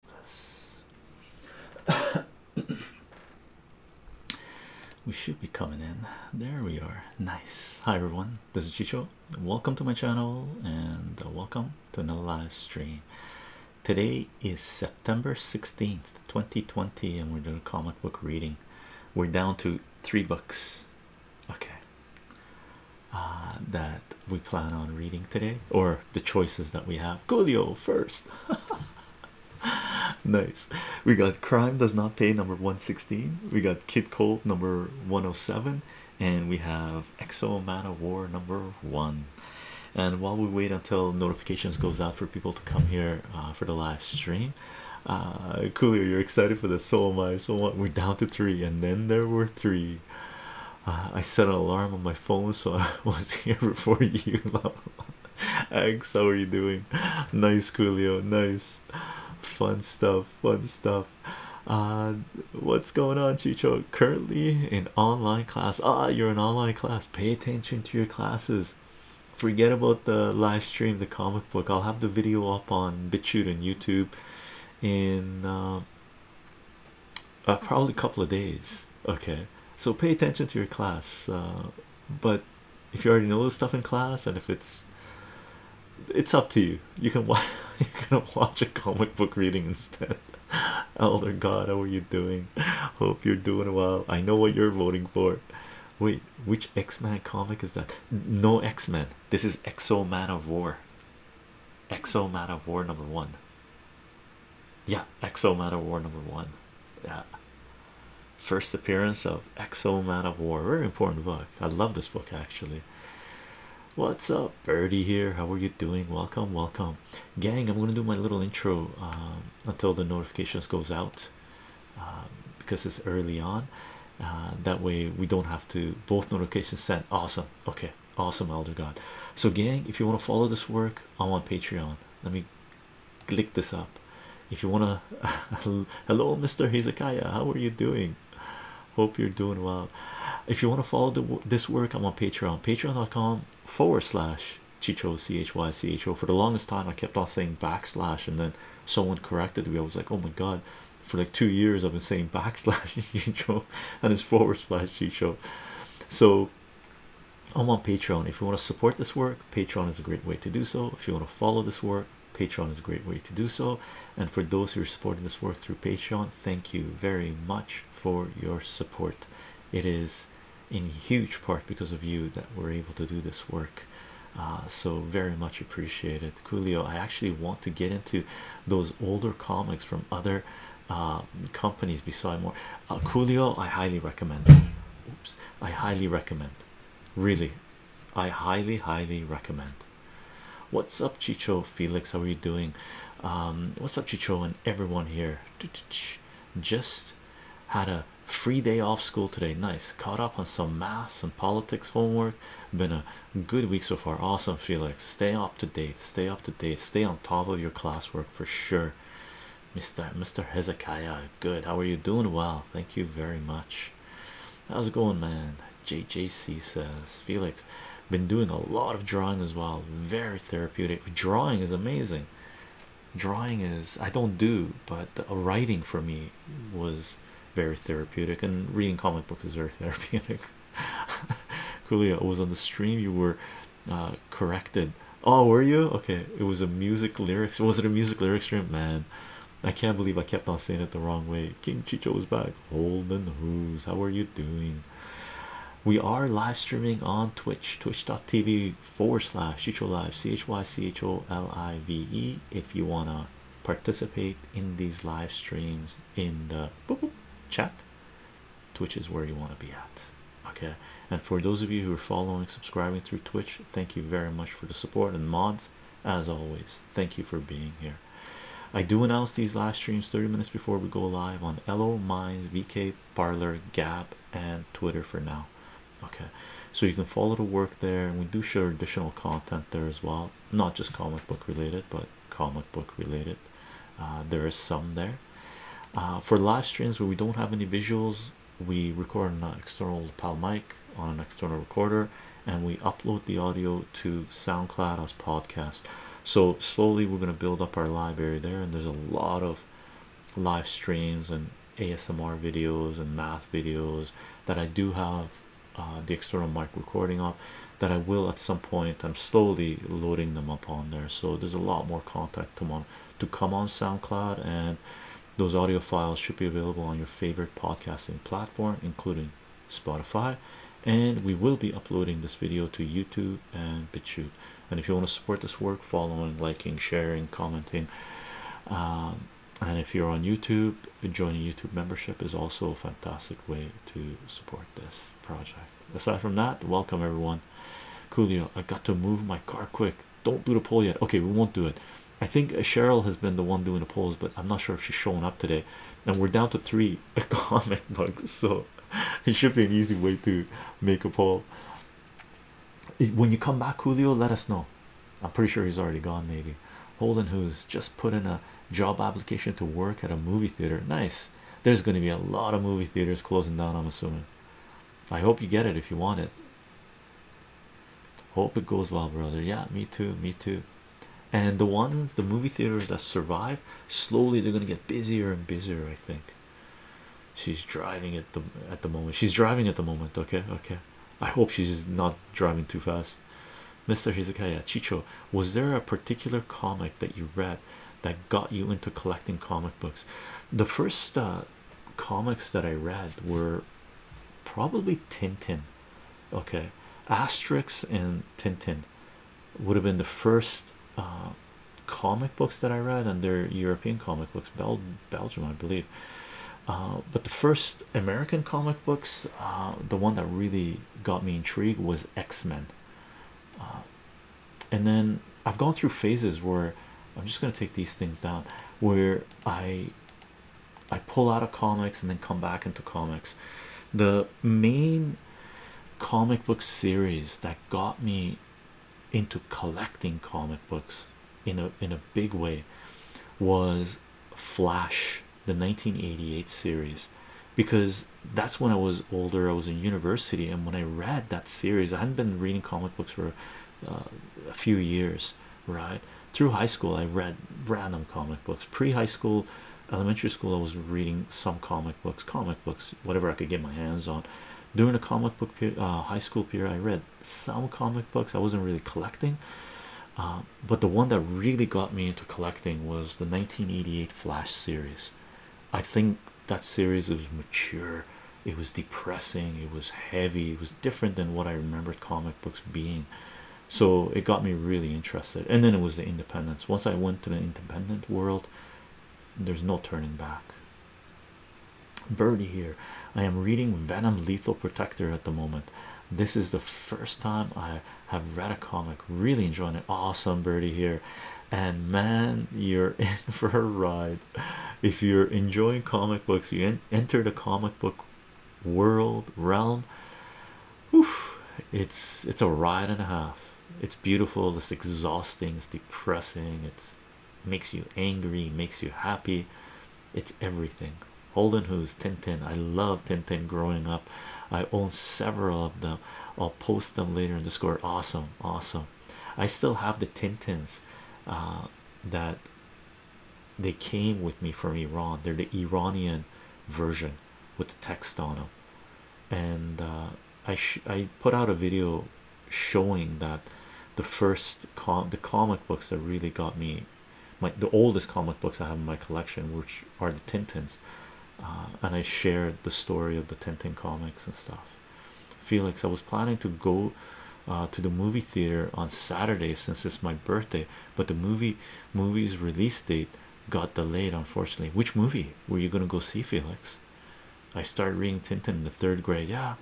we should be coming in. There we are. Nice. Hi everyone. This is Chicho. Welcome to my channel and uh, welcome to another live stream. Today is September 16th, 2020, and we're doing a comic book reading. We're down to three books. Okay. Uh, that we plan on reading today or the choices that we have. Coolio first. nice. We got Crime Does Not Pay number 116. We got Kid Cold number 107. And we have Exo Man of War number one. And while we wait until notifications goes out for people to come here uh, for the live stream, uh, Coolio, you're excited for this. So am I. So We're down to three, and then there were three. Uh, I set an alarm on my phone so I was here before you. X, how are you doing? Nice, Coolio. Nice, fun stuff. Fun stuff. Uh, what's going on, Chicho? Currently in online class. Ah, you're in online class. Pay attention to your classes. Forget about the live stream, the comic book. I'll have the video up on BitChute and YouTube in uh, uh, probably a couple of days. Okay, so pay attention to your class. Uh, but if you already know this stuff in class, and if it's it's up to you. You can watch. You can watch a comic book reading instead. Elder God, how are you doing? Hope you're doing well. I know what you're voting for. Wait, which X Men comic is that? No X Men. This is Exo Man of War. Exo Man of War number one yeah exo man of war number one yeah first appearance of exo man of war very important book i love this book actually what's up birdie here how are you doing welcome welcome gang i'm gonna do my little intro um, until the notifications goes out um, because it's early on uh, that way we don't have to both notifications sent awesome okay awesome, Elder God. So, gang, if you want to follow this work, I'm on Patreon. Let me click this up. If you want to, hello, Mr. Hezekiah, how are you doing? Hope you're doing well. If you want to follow this work, I'm on Patreon, patreon.com forward slash Chicho, C H Y C H O. For the longest time, I kept on saying backslash, and then someone corrected me. I was like, oh my god, for like two years, I've been saying backslash Chicho and it's forward slash Chicho. So, I'm on Patreon. If you want to support this work, Patreon is a great way to do so. If you want to follow this work, Patreon is a great way to do so. And for those who are supporting this work through Patreon, thank you very much for your support. It is in huge part because of you that we're able to do this work. Uh, so very much appreciated, Julio. I actually want to get into those older comics from other um, companies besides more uh, coolio i highly recommend oops i highly recommend really i highly highly recommend what's up chicho felix how are you doing um, what's up chicho and everyone here just had a free day off school today nice caught up on some math and politics homework been a good week so far awesome felix stay up to date stay up to date stay on top of your classwork for sure Mr. Mr. Hezekiah, good. How are you doing? Well, thank you very much. How's it going, man? JJC says, Felix, been doing a lot of drawing as well. Very therapeutic. Drawing is amazing. Drawing is, I don't do, but writing for me was very therapeutic, and reading comic books is very therapeutic. Coolio, was on the stream you were uh, corrected. Oh, were you okay? It was a music lyrics. Was it a music lyrics stream? Man, I can't believe I kept on saying it the wrong way. King Chicho is back. Holden Who's how are you doing? We are live streaming on Twitch, twitch.tv forward slash Chicho Live, C H Y C H O L I V E. If you want to participate in these live streams in the chat, Twitch is where you want to be at. Okay, and for those of you who are following, subscribing through Twitch, thank you very much for the support and mods. As always, thank you for being here. I do announce these live streams 30 minutes before we go live on Elo Minds, VK Parlor, Gap, and Twitter for now. Okay, so you can follow the work there, and we do share additional content there as well, not just comic book related, but comic book related. Uh, there is some there, uh, for live streams where we don't have any visuals we record an external lapel mic on an external recorder and we upload the audio to soundcloud as podcasts. so slowly we're going to build up our library there and there's a lot of live streams and asmr videos and math videos that i do have uh, the external mic recording of that i will at some point i'm slowly loading them up on there so there's a lot more content to mon to come on SoundCloud, and those audio files should be available on your favorite podcasting platform, including Spotify. And we will be uploading this video to YouTube and BitChute. And if you want to support this work, following, liking, sharing, commenting, um, and if you're on YouTube, joining YouTube membership is also a fantastic way to support this project aside from that welcome everyone Julio, i got to move my car quick don't do the poll yet okay we won't do it i think cheryl has been the one doing the polls but i'm not sure if she's showing up today and we're down to three comic books so it should be an easy way to make a poll when you come back Julio, let us know i'm pretty sure he's already gone maybe holden who's just put in a job application to work at a movie theater nice there's going to be a lot of movie theaters closing down i'm assuming I hope you get it if you want it. Hope it goes well, brother. Yeah, me too, me too. And the ones, the movie theaters that survive, slowly they're gonna get busier and busier. I think. She's driving at the at the moment. She's driving at the moment. Okay, okay. I hope she's not driving too fast. Mr. Hezekiah Chicho, was there a particular comic that you read that got you into collecting comic books? The first uh, comics that I read were probably Tintin. Okay, Asterix and Tintin would have been the first uh, comic books that I read, and they're European comic books, Bel Belgium, I believe. Uh, but the first American comic books, uh, the one that really got me intrigued was X Men and then I've gone through phases where I'm just gonna take these things down where I I pull out of comics and then come back into comics. The main comic book series that got me into collecting comic books in a in a big way was Flash, the 1988 series, because that's when I was older. I was in university, and when I read that series, I hadn't been reading comic books for uh, a few years right through high school i read random comic books pre-high school elementary school i was reading some comic books comic books whatever i could get my hands on during the comic book uh, high school period i read some comic books i wasn't really collecting uh, but the one that really got me into collecting was the 1988 flash series i think that series was mature it was depressing it was heavy it was different than what i remembered comic books being so it got me really interested and then it was the independence once i went to the independent world there's no turning back birdie here i am reading venom lethal protector at the moment this is the first time i have read a comic really enjoying it awesome birdie here and man you're in for a ride if you're enjoying comic books you enter the comic book world realm Oof, it's it's a ride and a half it's beautiful it's exhausting it's depressing It makes you angry makes you happy it's everything holden who's tintin i love tintin growing up i own several of them i'll post them later in the score awesome awesome I still have the Tintins uh, that they came with me from Iran. They're the Iranian version with the text on them, and uh, I I put out a video showing that the first com the comic books that really got me. My, the oldest comic books I have in my collection, which are the Tintins, uh, and I shared the story of the Tintin comics and stuff. Felix, I was planning to go uh, to the movie theater on Saturday since it's my birthday, but the movie movie's release date got delayed, unfortunately. Which movie were you gonna go see, Felix? I started reading Tintin in the third grade, yeah,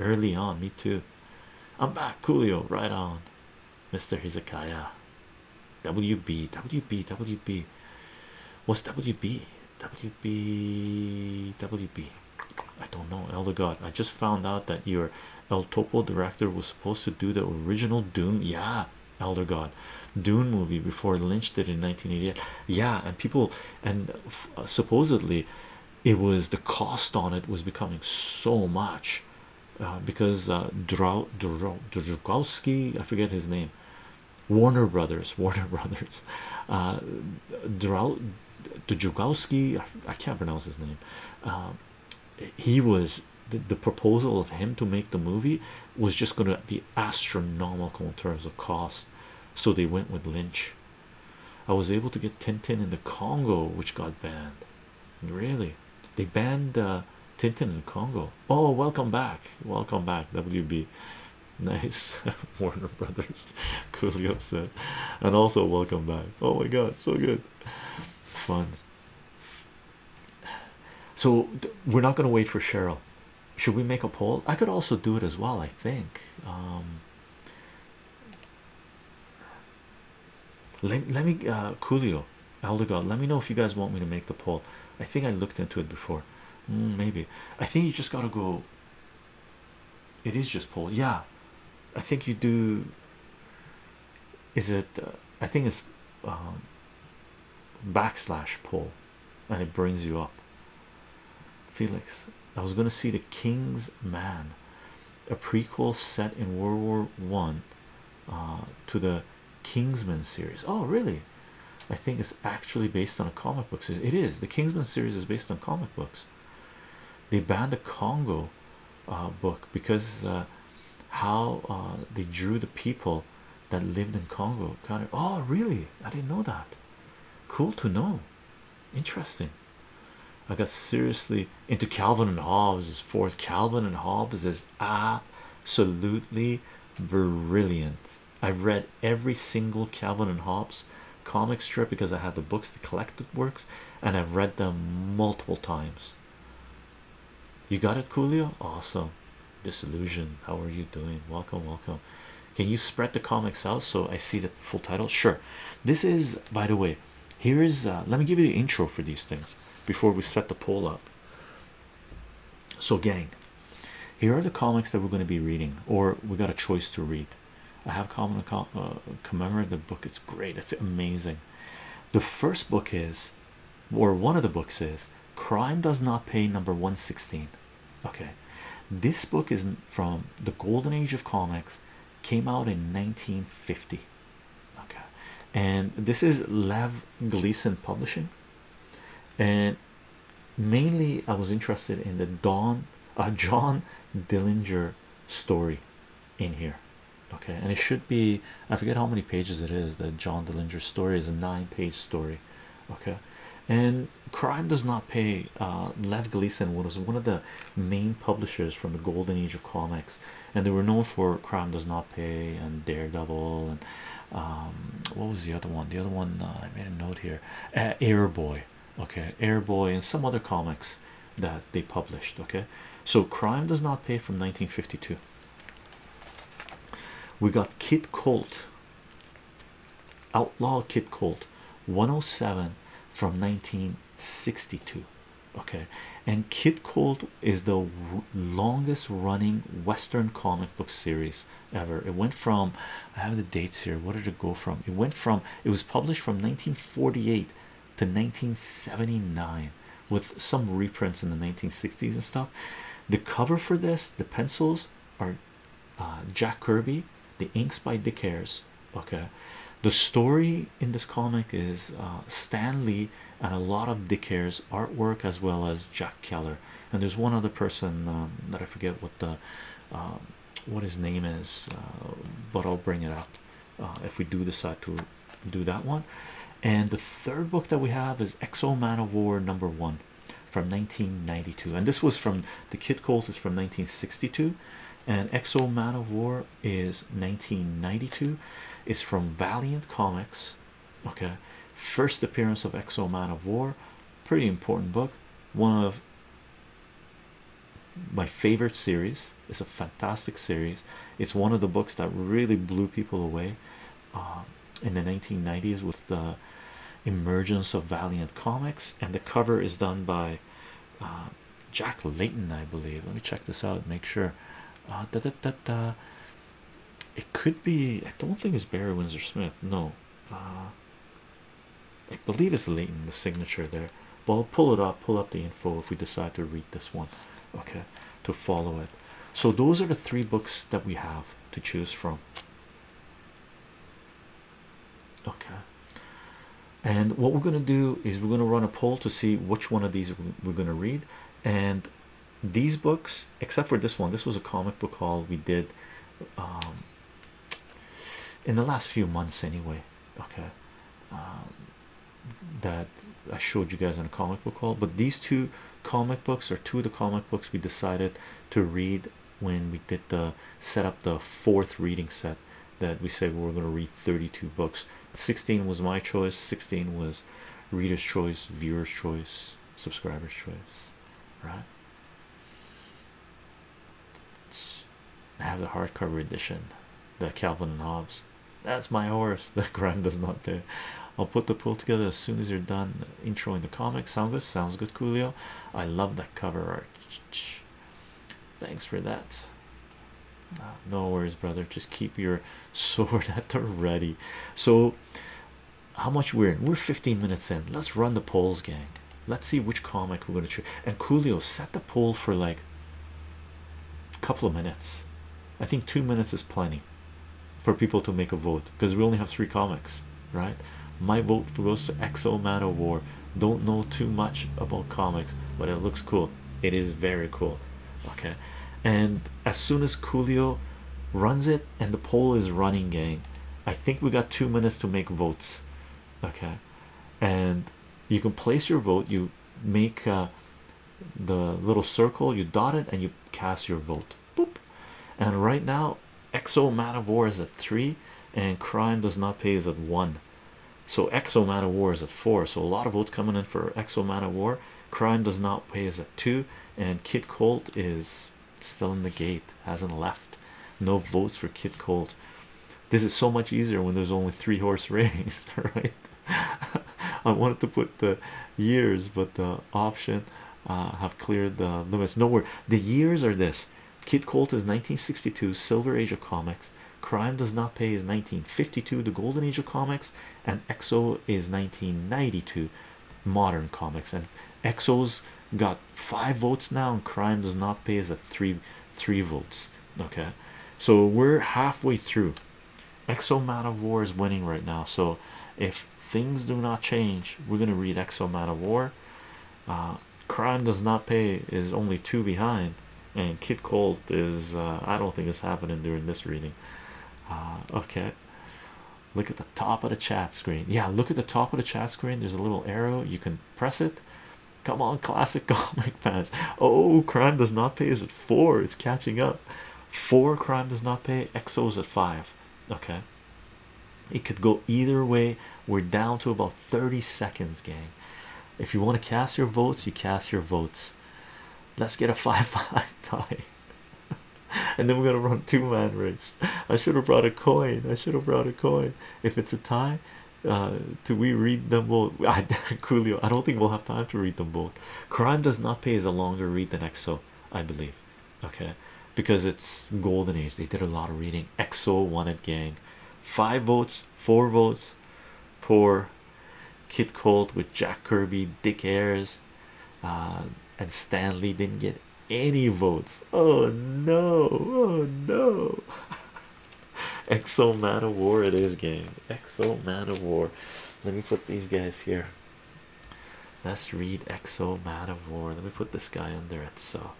early on. Me too. I'm back, Coolio, right on, Mr. Hezekiah. W B W B W B. What's WB? WB WB. I don't know, Elder God. I just found out that your El Topo director was supposed to do the original Doom. Yeah, Elder God, Doom movie before Lynch did it in 1988. Yeah, and people and uh, supposedly it was the cost on it was becoming so much uh, because uh, Drow, Drow, Drukowski, I forget his name. Warner Brothers, Warner Brothers, uh, Drow, Djugowski, I can't pronounce his name. Um, he was the, the proposal of him to make the movie was just going to be astronomical in terms of cost, so they went with Lynch. I was able to get Tintin in the Congo, which got banned. Really, they banned uh, Tintin in the Congo. Oh, welcome back, welcome back, WB. Nice, Warner Brothers. Coolio said, and also welcome back. Oh my God, so good, fun. So we're not gonna wait for Cheryl. Should we make a poll? I could also do it as well. I think. Um, let, let me, uh, Coolio, Elder God. Let me know if you guys want me to make the poll. I think I looked into it before. Hmm, maybe I think you just gotta go it is just Paul. Yeah, I think you do. Is it? Uh, I think it's um, backslash Paul, and it brings you up. Felix, I was going to see the King's Man, a prequel set in World War One, uh, to the Kingsman series. Oh, really? I think it's actually based on a comic book series. It is. The Kingsman series is based on comic books. They banned the Congo uh, book because uh, how uh, they drew the people that lived in Congo. oh, really? I didn't know that. Cool to know. Interesting. I got seriously into Calvin and Hobbes' fourth. Calvin and Hobbes is absolutely brilliant. I've read every single Calvin and Hobbes comic strip because I had the books, the collected works, and I've read them multiple times. You got it, Julio. Awesome. Disillusion. How are you doing? Welcome, welcome. Can you spread the comics out so I see the full title? Sure. This is, by the way, here is. Uh, let me give you the intro for these things before we set the poll up. So, gang, here are the comics that we're going to be reading, or we got a choice to read. I have common com uh, book. It's great. It's amazing. The first book is, or one of the books is, Crime Does Not Pay, number 116. Okay, this book is from the golden age of comics, came out in 1950. Okay, and this is Lev Gleason Publishing, and mainly I was interested in the Don uh, John Dillinger story in here okay and it should be i forget how many pages it is that john dillinger story is a nine page story okay and crime does not pay uh lev gleason was one of the main publishers from the golden age of comics and they were known for crime does not pay and daredevil and um, what was the other one the other one uh, i made a note here uh, airboy okay, Airboy, and some other comics that they published. Okay, so Crime Does Not Pay from 1952. We got Kid Colt, Outlaw Kid Colt 107 from 1962. Okay, and Kid Colt is the longest running Western comic book series ever. It went from I have the dates here. What did it go from? It went from it was published from 19 1948 to 1979 with some reprints in the 1960s and stuff the cover for this the pencils are uh, Jack Kirby the inks by Dick Ayers okay the story in this comic is uh, Stanley and a lot of Dick Ayers artwork as well as Jack Keller and there's one other person um, that I forget what the um, what his name is, uh, but I'll bring it up uh, if we do decide to do that one. And the third book that we have is Exo Man of War number one from 1992, and this was from the Kid Colt is from 1962, and Exo Man of War is 1992. It's from Valiant Comics. Okay, first appearance of Exo Man of War, pretty important book. One of my favorite series. It's a fantastic series. It's one of the books that really blew people away uh, in the 1990s with the emergence of Valiant Comics, and the cover is done by uh, Jack Layton, I believe. Let me check this out. Make sure. Uh, it could be. I don't think it's Barry Windsor Smith. No. I believe it's Leighton, the signature there. But I'll pull it up, pull up the info if we decide to read this one, okay? To follow it. So, those are the three books that we have to choose from, okay? And what we're going to do is we're going to run a poll to see which one of these we're going to read. And these books, except for this one, this was a comic book haul we did um, in the last few months anyway okay um, that I showed you guys in a comic book hall. but these two comic books or two of the comic books we decided to read when we did the set up the fourth reading set that we say we are going to read 32 books 16 was my choice 16 was reader's choice viewer's choice subscriber's choice right I have the hardcover edition, the Calvin and Hobbes. That's my horse. The grind does not do. I'll put the poll together as soon as you're done intro in the comic. sounds good? Sounds good, Julio. I love that cover art. Thanks for that. Ah, no worries, brother. Just keep your sword at the ready. So, how much we're in? We're 15 minutes in. Let's run the polls, gang. Let's see which comic we're going to choose. And Julio, set the poll for like a couple of minutes. I think two minutes is plenty for people to make a vote because we only have three comics, right? My vote goes to Exo Man of War. Don't know too much about comics, but it looks cool. It is very cool. Okay. And as soon as Julio runs it and the poll is running, gang, I think we got two minutes to make votes. Okay. And you can place your vote you make uh, the little circle you dot it and you cast your vote Boop. and right now exo man of war is at three and crime does not pay is at one so exo man of war is at four so a lot of votes coming in for exo man of war crime does not pay is at two and Kit colt is still in the gate hasn't left no votes for Kit colt this is so much easier when there's only three horse races, right? I wanted to put the years, but the option uh, have cleared the limits. Nowhere the years are this Kid Colt is 1962, Silver Age of Comics. Crime Does Not Pay is 1952, the Golden Age of Comics, and Exo is 1992, modern comics. And Exo's got five votes now, and Crime Does Not Pay is a three three votes okay so we're halfway through exo man of war is winning right now so if things do not change we're going to read exo man of war crime does not pay is only two behind and kid colt is uh, i don't think it's happening during this reading uh, okay look at the top of the chat screen yeah look at the top of the chat screen there's a little arrow you can press it Come on, classic comic fans. Oh, crime does not pay is at four, it's catching up. Four crime does not pay, Exo's at five. Okay, it could go either way. We're down to about 30 seconds, gang. If you want to cast your votes, you cast your votes. Let's get a 5 5 tie, and then we're gonna run two man race. I should have brought a coin, I should have brought a coin. If it's a tie, uh, do we read them both? I, Coolio, I don't think we'll have time to read them both. Crime Does Not Pay is a longer read than EXO, I believe. Okay, because it's golden age. They did a lot of reading. EXO won it, gang. Five votes, four votes. Poor Kid Colt with Jack Kirby, Dick Ayres, uh, and Stanley didn't get any votes. Oh no! Oh no! Exo Man of War, it is, game. Exo Man of War. Let me put these guys here. Let's read Exo Man of War. Let me put this guy under it. So,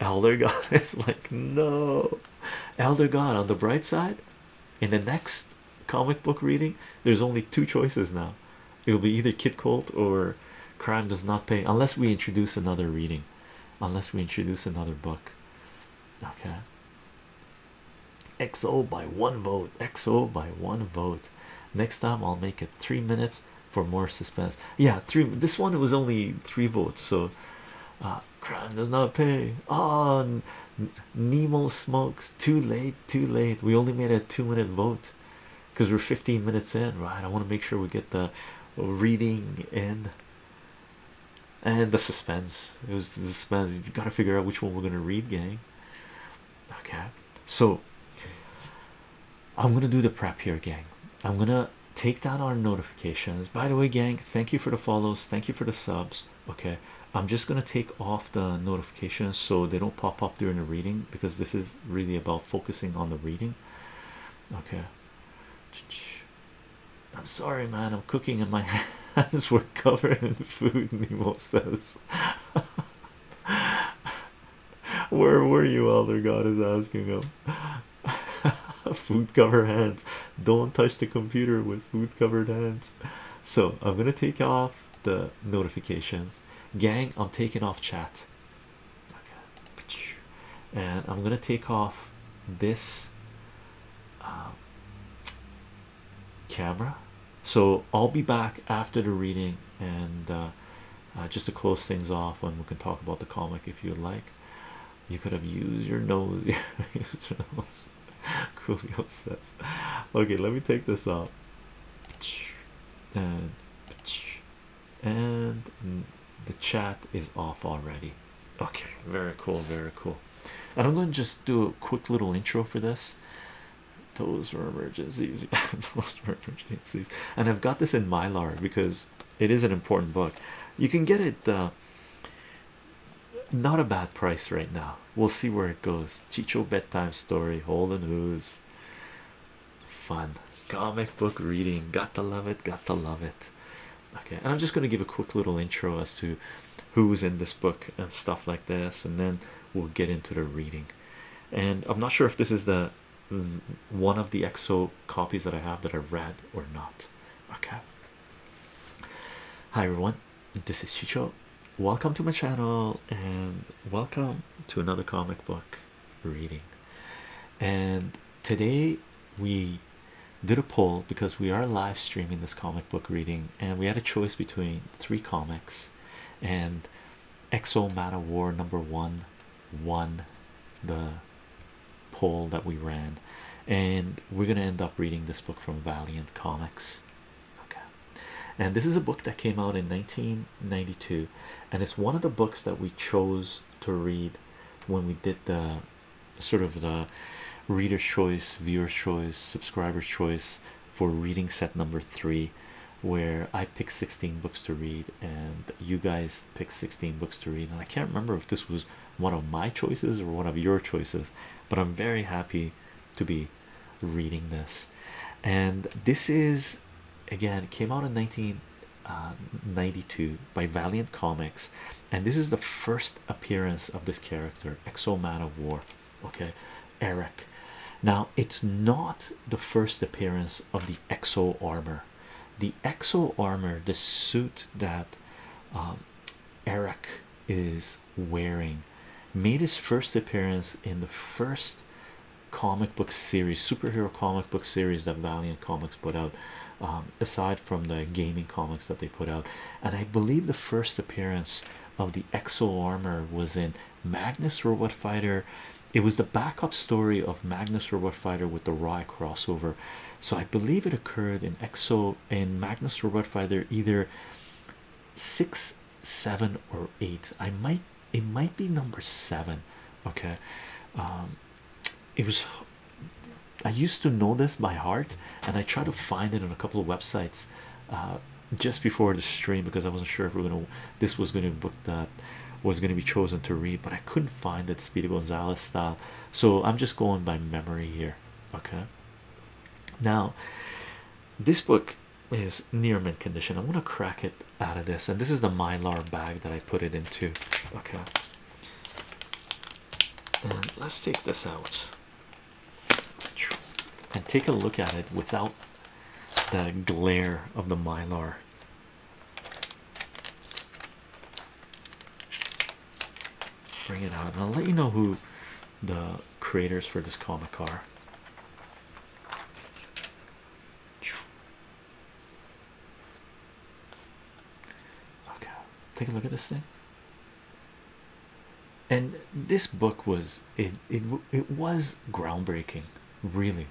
Elder God is like, no, Elder God on the bright side. In the next comic book reading, there's only two choices now. It will be either Kid Colt or Crime Does Not Pay, unless we introduce another reading, unless we introduce another book okay xo by one vote xo by one vote next time i'll make it three minutes for more suspense yeah three this one was only three votes so uh, crime does not pay on ah, nemo smokes too late too late we only made a two minute vote because we're 15 minutes in right i want to make sure we get the reading in and the suspense it was suspense you gotta figure out which one we're gonna read gang okay so i'm gonna do the prep here gang i'm gonna take down our notifications by the way gang thank you for the follows thank you for the subs okay i'm just gonna take off the notifications so they don't pop up during the reading because this is really about focusing on the reading okay I'm sorry, man. I'm cooking and my hands were covered in food. Nemo says, Where were you? Elder God is asking him. food covered hands. Don't touch the computer with food covered hands. So, I'm gonna take off the notifications, gang. I'm taking off chat, and I'm gonna take off this camera so i'll be back after the reading and uh, uh, just to close things off and we can talk about the comic if you'd like you could have used your nose, used your nose. says okay let me take this out and and the chat is off already Okay, very cool, very cool. And I'm going to just do a quick little intro for this. Those were emergencies. Those emergencies. And I've got this in Mylar because it is an important book. You can get it uh, not a bad price right now. We'll see where it goes. Chicho bedtime story, Holden Who's fun comic book reading. Got to love it, got to love it okay and i'm just going to give a quick little intro as to who's in this book and stuff like this and then we'll get into the reading and i'm not sure if this is the one of the exo copies that i have that i've read or not okay hi everyone this is chicho welcome to my channel and welcome to another comic book reading and today we did a poll because we are live streaming this comic book reading, and we had a choice between three comics and Exo Man of War number one won the poll that we ran, and we're gonna end up reading this book from Valiant Comics. Okay, and this is a book that came out in 1992, and it's one of the books that we chose to read when we did the sort of the reader choice, viewer choice, subscriber choice for reading set number three, where I picked 16 books to read and you guys picked 16 books to read. And I can't remember if this was one of my choices or one of your choices, but I'm very happy to be reading this. And this is again, came out in 1992 uh, by Valiant Comics, and this is the first appearance of this character Exo Man of War. Okay, Eric. Now it's not the first appearance of the Exo armor. The Exo armor, the suit that um, Eric is wearing, made his first appearance in the first comic book series, superhero comic book series that Valiant Comics put out. Um, aside from the gaming comics that they put out, and I believe the first appearance of the Exo armor was in Magnus Robot Fighter. It was the backup story of Magnus Robot Fighter with the Rai crossover, so I believe it occurred in Exo in Magnus Robot Fighter either six, seven, or eight. I might it might be number seven. Okay, um, it was I used to know this by heart, and I tried to find it on a couple of websites uh, just before the stream because I wasn't sure if we are gonna this was gonna book that was gonna be chosen to read, but I couldn't find that Speedy Gonzalez style. So I'm just going by memory here. Okay. Now, this book is near mint condition. I am going to crack it out of this, and this is the mylar bag that I put it into. Okay. And let's take this out and take a look at it without the glare of the mylar. Bring it out, and I'll let you know who the creators for this comic are. Okay, take a look at this thing and this book was it it, was groundbreaking really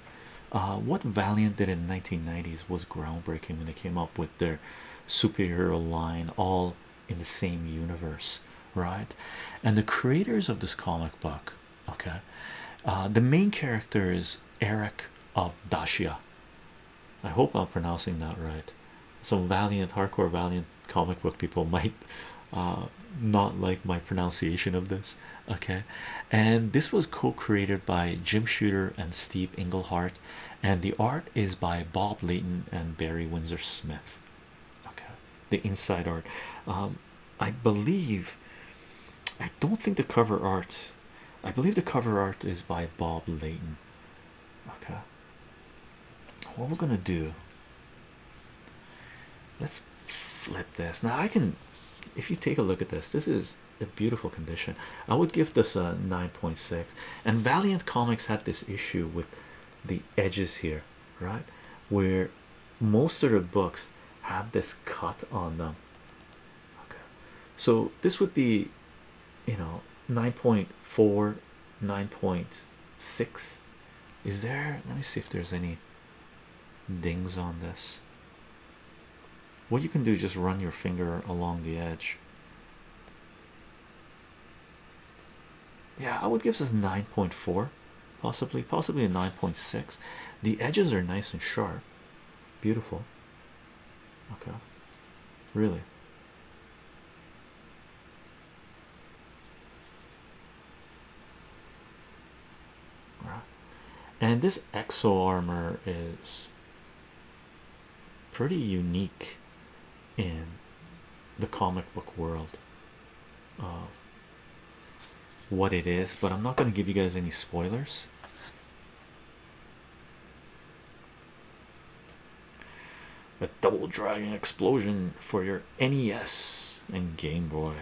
uh, what Valiant did in the 1990s was groundbreaking when they came up with their superhero line all in the same universe right and the creators of this comic book okay uh, the main character is Eric of Dacia I hope I'm pronouncing that right some valiant hardcore valiant comic book people might uh, not like my pronunciation of this. Okay, and this was co-created by Jim Shooter and Steve Englehart, and the art is by Bob Layton and Barry Windsor Smith. Okay, the inside art. Um, I believe. I don't think the cover art. I believe the cover art is by Bob Layton. Okay, what we're gonna do, let's flip this now. I can, if you take a look at this, this is a beautiful condition. I would give this a 9.6. And Valiant Comics had this issue with the edges here, right? Where most of the books have this cut on them. Okay, so this would be you know 9.4 9.6 is there let me see if there's any dings on this what you can do is just run your finger along the edge yeah i would give this 9.4 possibly possibly a 9.6 the edges are nice and sharp beautiful okay really and this exo armor is pretty unique in the comic book world of what it is but i'm not going to give you guys any spoilers a double dragon explosion for your NES and Game Boy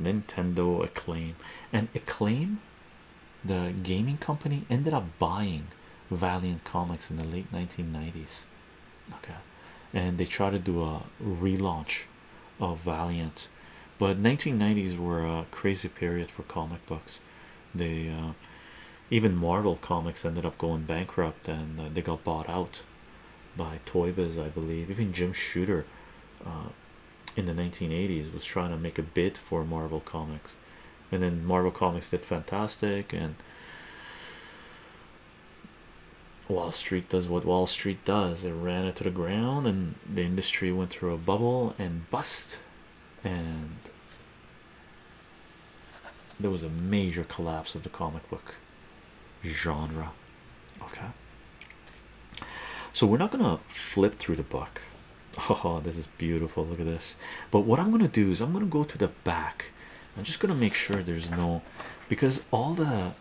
Nintendo acclaim and acclaim the gaming company ended up buying Valiant Comics in the late 1990s okay and they tried to do a relaunch of Valiant but 1990s were a crazy period for comic books they uh, even Marvel Comics ended up going bankrupt and uh, they got bought out by Toy Biz, I believe. Even Jim Shooter uh, in the 1980s was trying to make a bid for Marvel Comics, and then Marvel Comics did fantastic. And Wall Street does what Wall Street does, it ran it to the ground, and the industry went through a bubble and bust. And there was a major collapse of the comic book genre okay so we're not gonna flip through the book oh this is beautiful look at this but what i'm gonna do is i'm gonna go to the back i'm just gonna make sure there's no because all the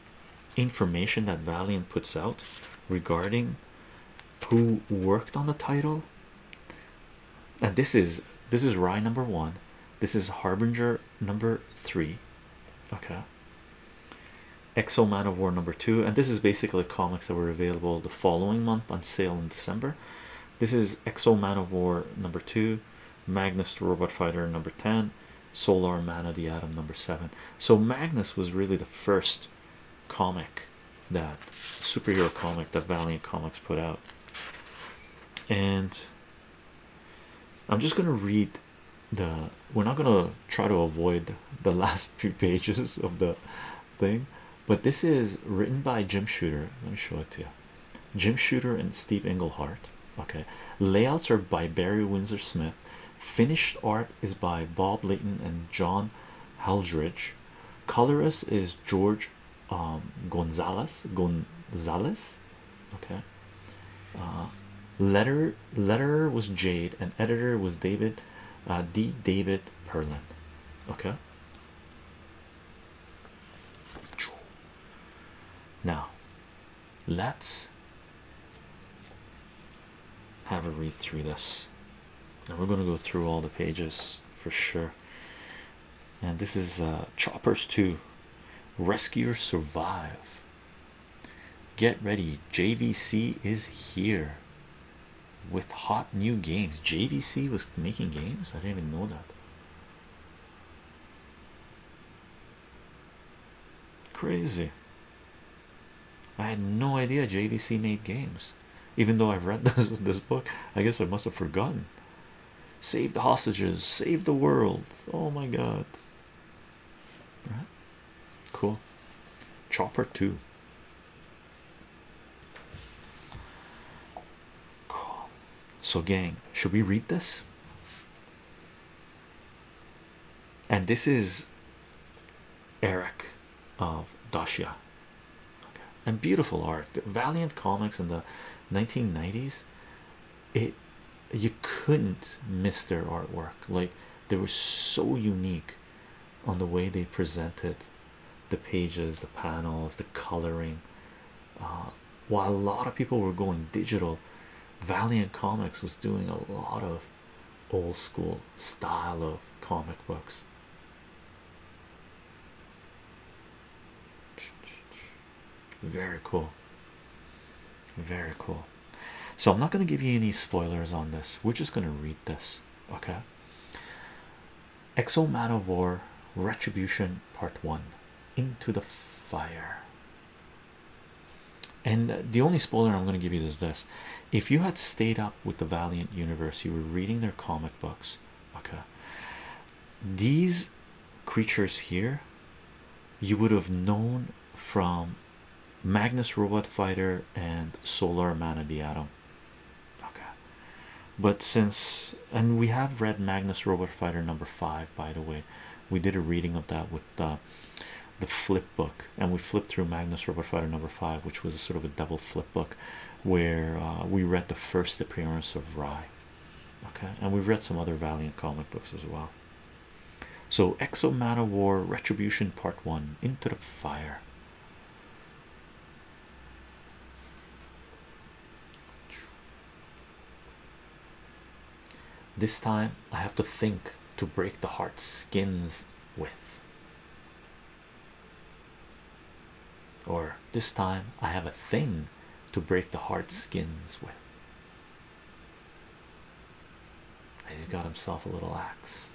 information that valiant puts out regarding who worked on the title and this is this is rye number one this is harbinger number three okay exo man of war number two and this is basically comics that were available the following month on sale in december this is exo man of war number two magnus the robot fighter number 10 solar man of the atom number seven so magnus was really the first comic that superhero comic that valiant comics put out and I'm just going to read the we're not going to try to avoid the last few pages of the thing, but this is written by Jim Shooter. Let me show it to you. Jim Shooter and Steve Englehart. Okay, layouts are by Barry Windsor Smith. Finished art is by Bob Layton and John Haldridge. Colorist is George um, Gonzalez Gonzalez okay uh, Letter, letter was Jade and editor was David uh, D David Perlin okay now let's have a read through this and we're going to go through all the pages for sure and this is uh, Choppers 2 Rescuers Survive. Get ready, JVC is here with hot new games. JVC was making games, I didn't even know that. Crazy. I had no idea JVC made games, even though I've read this book. I guess I must have forgotten save the hostages, save the world. Oh my god. Right. Cool. Chopper two. Cool. So gang, should we read this? And this is Eric of Dasha. Okay. And beautiful art. Valiant comics in the 1990s it you couldn't miss their artwork like they were so unique on the way they presented the pages the panels the coloring uh, while a lot of people were going digital valiant comics was doing a lot of old school style of comic books very cool. Very cool. So I'm not going to give you any spoilers on this. We're just going to read this. Okay. Exo Man of War Retribution Part 1 Into the Fire. And the only spoiler I'm going to give you is this if you had stayed up with the Valiant universe, you were reading their comic books, okay, these creatures here you would have known from Magnus Robot Fighter and Solar Man of the Atom. Okay, but since and we have read Magnus Robot Fighter number five, by the way, we did a reading of that with uh, the flip book, and we flipped through Magnus Robot Fighter number five, which was sort of a double flip book where uh, we read the first appearance of Rye okay and we've read some other valiant comic books as well so exo War retribution part one into the fire this time i have to think to break the heart skins with or this time i have a thing to break the heart skins with and he's got himself a little axe.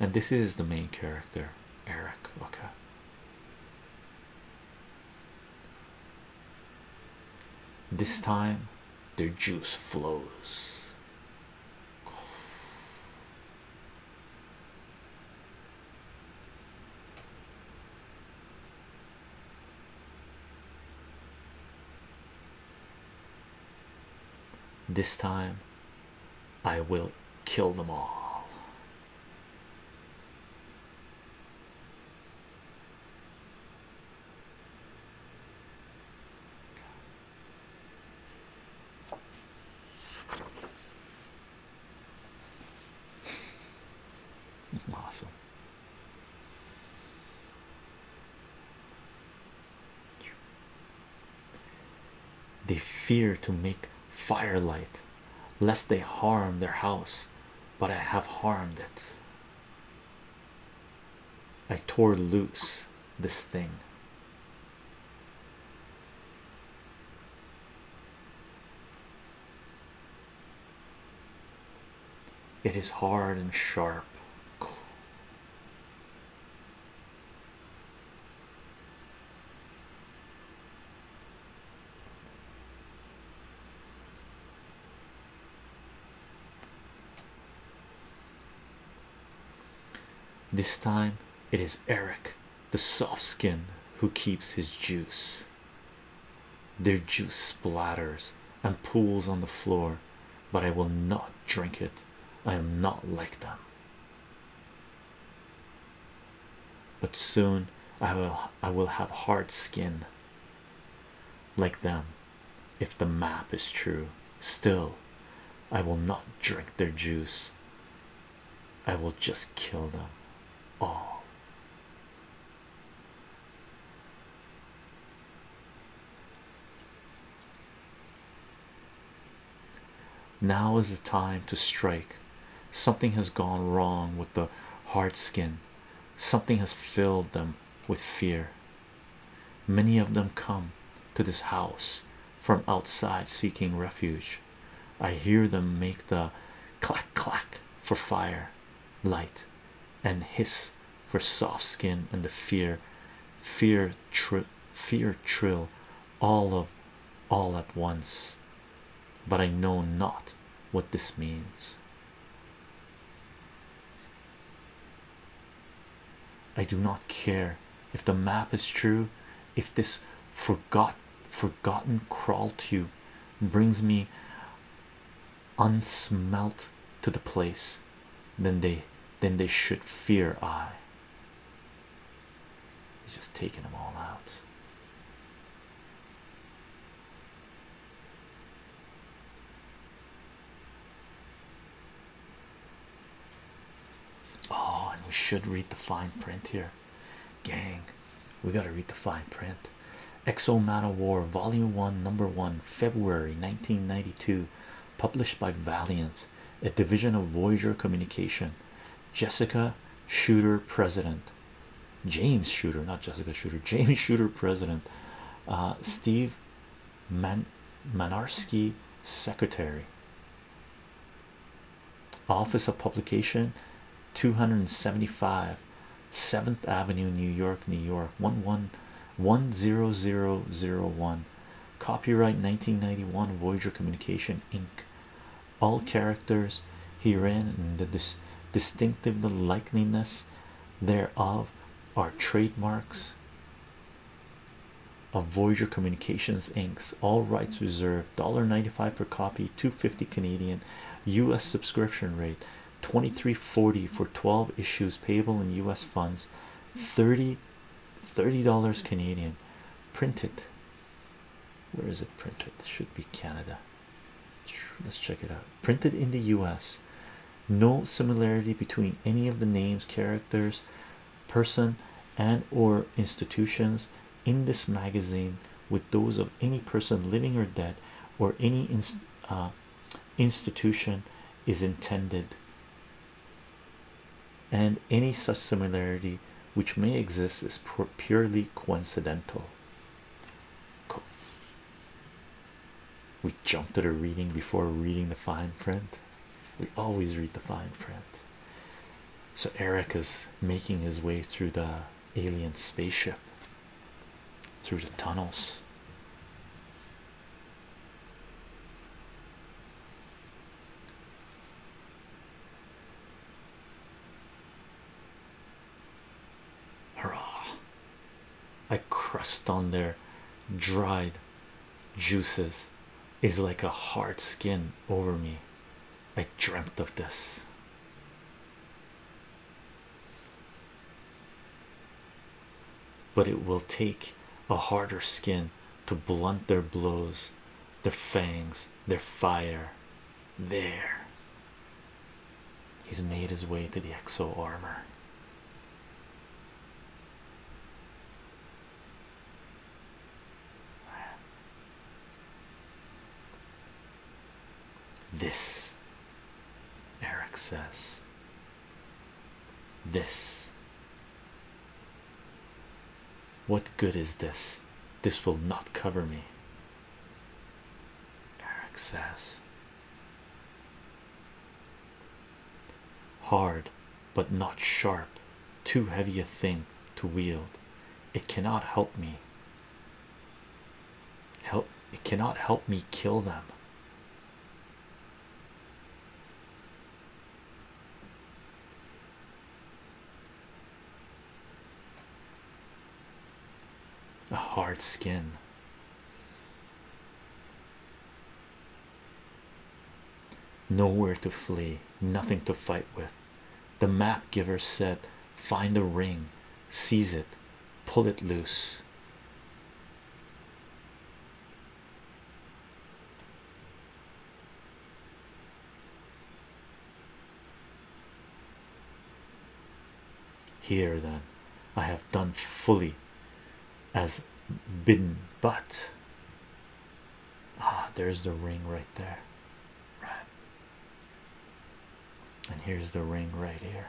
And this is the main character, Eric. Okay. This time their juice flows. This time I will kill them all. Awesome. They fear to make firelight lest they harm their house, but I have harmed it. I tore loose this thing. It is hard and sharp. This time it is Eric, the soft skin, who keeps his juice. Their juice splatters and pools on the floor, but I will not drink it. I am not like them. But soon I will I will have hard skin like them if the map is true. Still, I will not drink their juice. I will just kill them all. Now is the time to strike. Something has gone wrong with the hard skin, something has filled them with fear. Many of them come to this house from outside seeking refuge. I hear them make the clack clack for fire light and hiss for soft skin and the fear fear tr fear trill all of all at once but i know not what this means i do not care if the map is true if this forgot forgotten crawl tube brings me unsmelt to the place then they then they should fear I he's just taking them all out oh and we should read the fine print here gang we got to read the fine print Exo Man War, Volume 1, Number 1, February 1992, published by Valiant, a division of Voyager Communication. Jessica Shooter, President. James Shooter, not Jessica Shooter, James Shooter, President. Uh, Steve Man Manarski, Secretary. Office of Publication 275 7th Avenue, New York, New York 11010001. Copyright 1991 Voyager Communication Inc. All characters herein and the distinctive the likeliness thereof are trademarks of Voyager Communications Inc. All rights reserved $1.95 per copy, 250 Canadian US subscription rate 2340 for 12 issues payable in US funds 30 dollars Canadian printed where is it printed should be Canada let's check it out printed in the US no similarity between any of the names characters person and or institutions in this magazine with those of any person living or dead or any inst uh, institution is intended and any such similarity which may exist is purely coincidental we jumped to the reading before reading the fine print we always read the fine print so eric is making his way through the alien spaceship through the tunnels. Hurrah! I crust on their dried juices is like a hard skin over me. I dreamt of this. But it will take a harder skin to blunt their blows, their fangs, their fire. There, he's made his way to the exo armor. This, Eric says. This. What good is this? This will not cover me. Eric says. Hard, but not sharp, too heavy a thing to wield. It cannot help me help it cannot help me kill them a hard skin nowhere to flee nothing to fight with the map giver said find a ring seize it pull it loose here then, I have done fully as bidden, but ah, there's the ring right there, right? And here's the ring right here.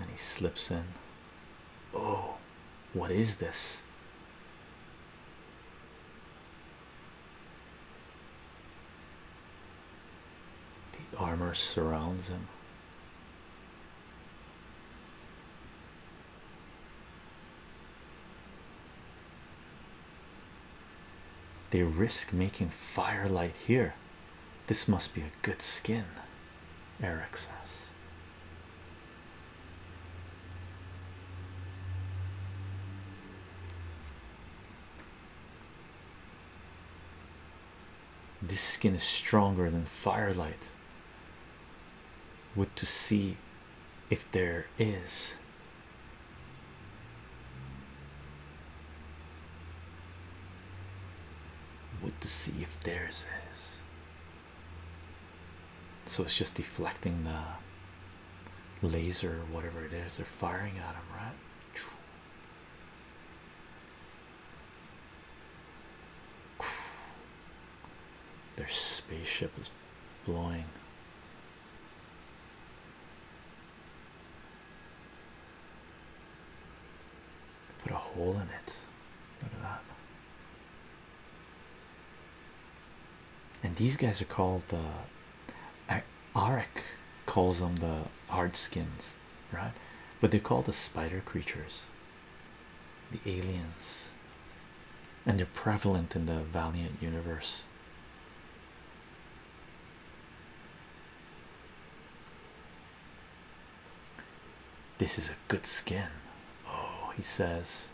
And he slips in. Oh, what is this? The armor surrounds him. They risk making firelight here. This must be a good skin, Eric says. This skin is stronger than firelight. Would to see if there is would to see if there is. is. So it's just deflecting the laser or whatever it is they're firing at him, right? Their spaceship is blowing Put a hole in it. Look at that. And these guys are called the uh, calls them the hard skins, right? But they are called the spider creatures the aliens, and they're prevalent in the Valiant universe. This is a good skin. Oh, he says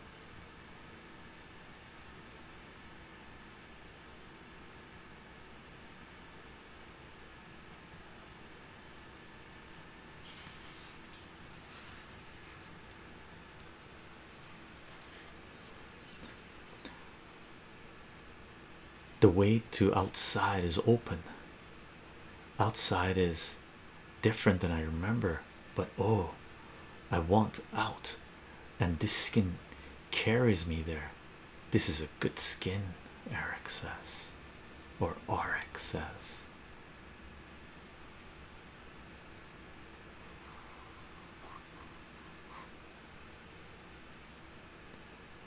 the way to outside is open outside is different than i remember but oh i want out and this skin carries me there this is a good skin eric says or rx says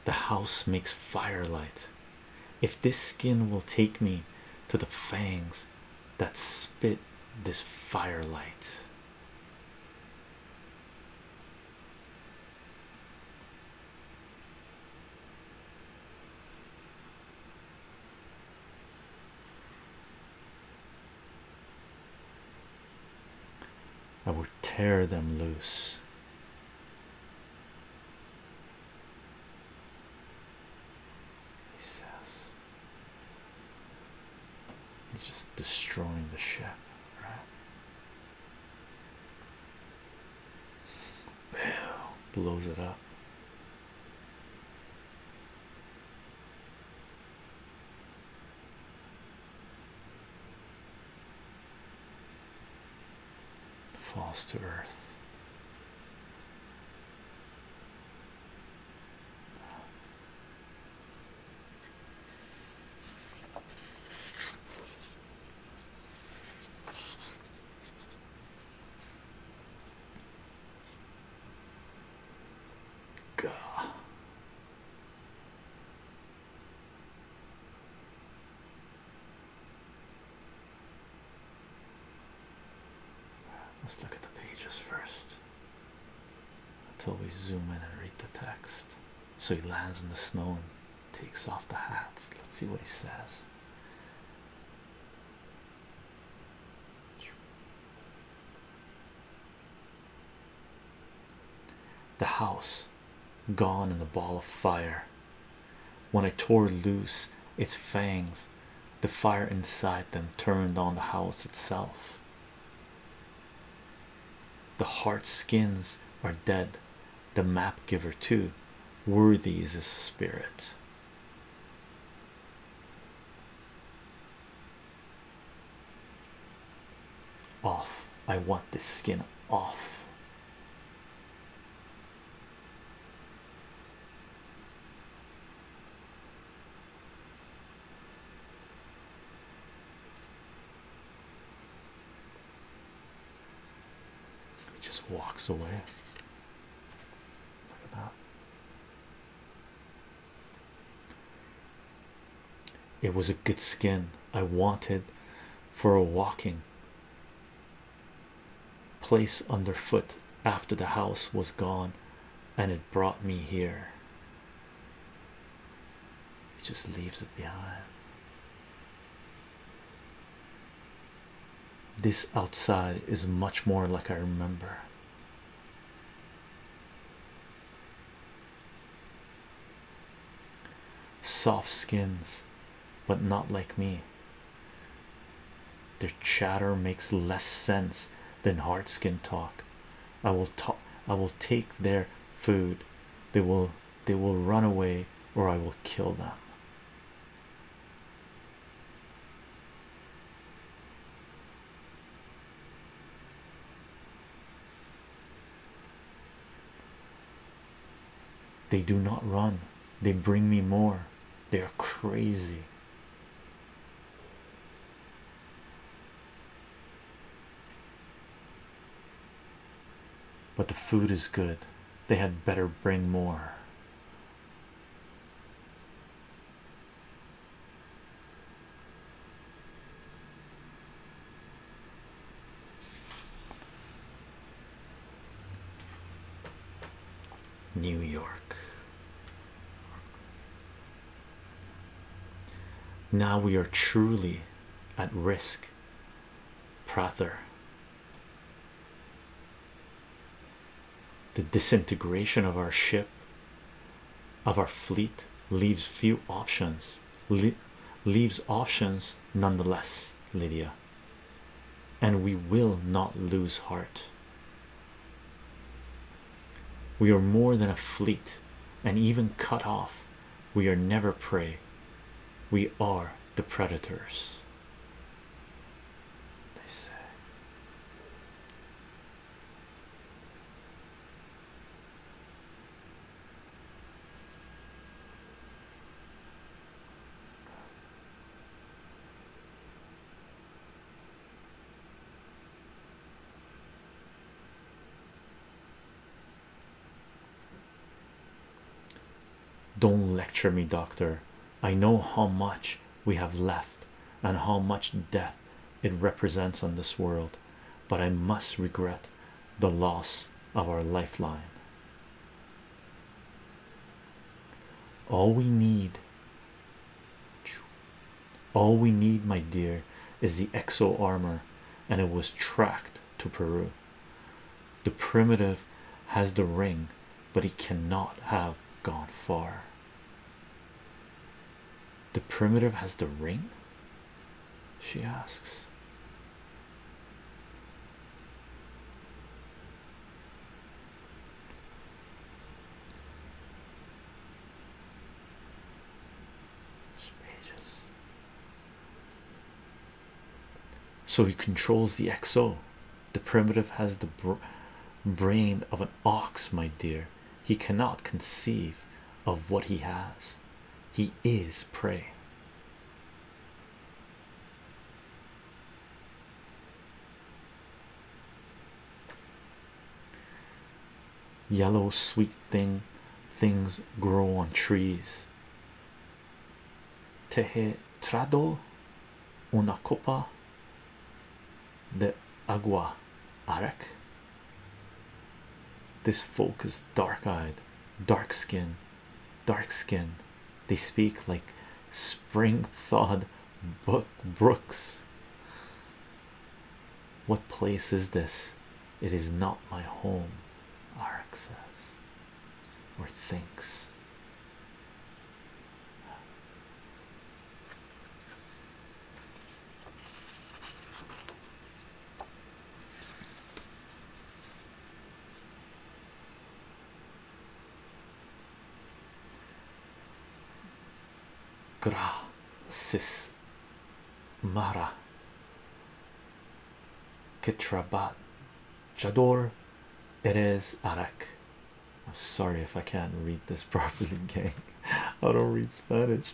the house makes firelight. If this skin will take me to the fangs that spit this firelight. I will tear them loose. He says he's just destroying the ship, right? Boom, blows it up falls to earth. God. Let's look at the pages first until we zoom in and read the text. So he lands in the snow and takes off the hat. Let's see what he says. The house gone in the ball of fire. When I tore loose its fangs, the fire inside them turned on the house itself. The heart skins are dead, the map giver, too. Worthy is his spirit. Off. I want the skin off. He just walks away. Look at that. It was a good skin I wanted for a walking place underfoot after the house was gone, and it brought me here. It just leaves it behind. This outside is much more like I remember. Soft skins, but not like me. Their chatter makes less sense than hard skin talk. I will talk, I will take their food. They will they will run away or I will kill them. They do not run, they bring me more. They are crazy. But the food is good, they had better bring more. New York. Now we are truly at risk. Prother. The disintegration of our ship, of our fleet, leaves few options leaves le leaves options nonetheless lydia and we will not lose heart we are more than a fleet and even cut off we are never prey we are the predators they say don't lecture me, doctor. I know how much we have left and how much death it represents on this world but I must regret the loss of our lifeline. All we need, all we need, my dear, is the exo armor, and it was tracked to Peru. The primitive has the ring, but he cannot have gone far. The primitive has the ring, she asks. So he controls the XO. The primitive has the brain of an ox, my dear. He cannot conceive of what he has. He is prey. Yellow sweet thing things grow on trees. Tehe trado una copa de agua arec. This folk is dark eyed, dark skinned, dark skin they speak like spring thawed book brooks what place is this it is not my home Arak says or thinks Gracias, Mara Kitrabat Jador Erez Arak. I'm sorry if I can't read this properly, gang. I don't read Spanish.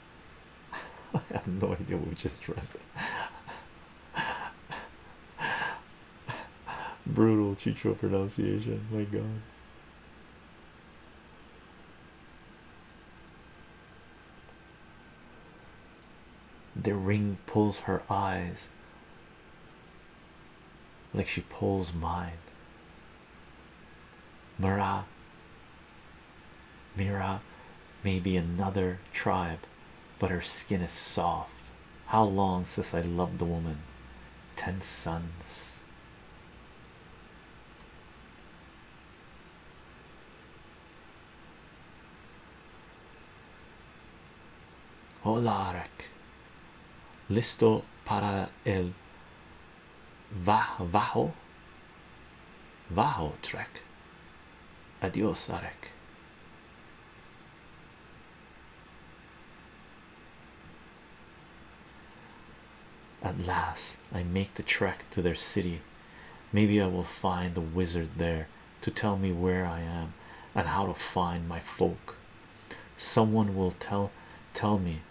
I have no idea what we just read. Brutal Chicho pronunciation. My God. The ring pulls her eyes like she pulls mine. Mara Mira may be another tribe, but her skin is soft. How long since I loved a woman? Ten suns. Holarek, listo para el bajo Vaho Trek. Adios, Arek. At last, I make the trek to their city. Maybe I will find the wizard there to tell me where I am and how to find my folk. Someone will tell tell me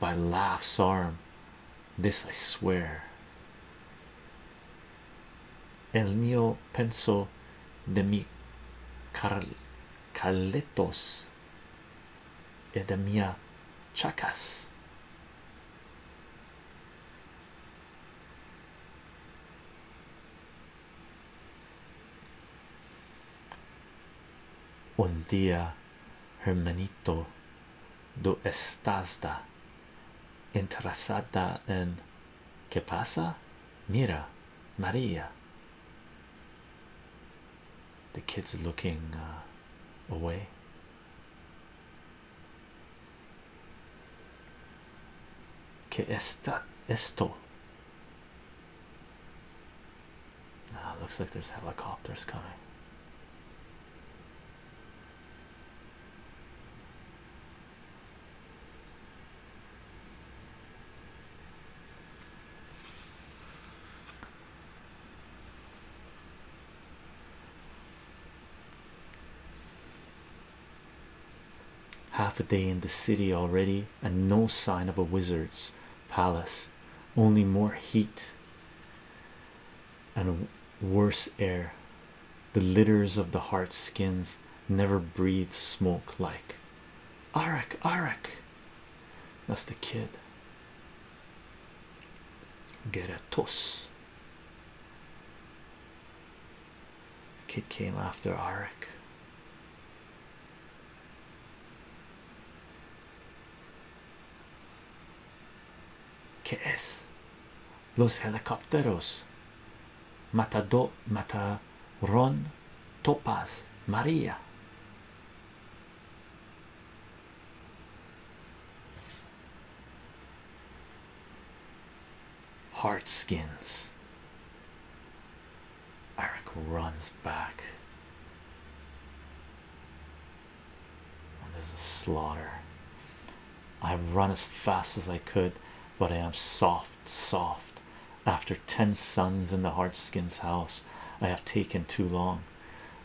by laughs arm this I swear. El neo penso de mi car caletos y de mia chacas. Un día, hermanito, do estás interesada en que pasa? Mira, Maria. The kid's looking uh, away. Que está esto? Ah, looks like there's helicopters coming half a day in the city already and no sign of a wizard's palace only more heat and worse air the litters of the heart skins never breathe smoke like arak arak that's the kid geratos kid came after arak ¿Qué es? Los helicópteros. Matado, Ron Topaz, María. Heart skins. Eric runs back. There's a slaughter. I've run as fast as I could, but I am soft, soft. After ten suns in the hardskin's house, I have taken too long.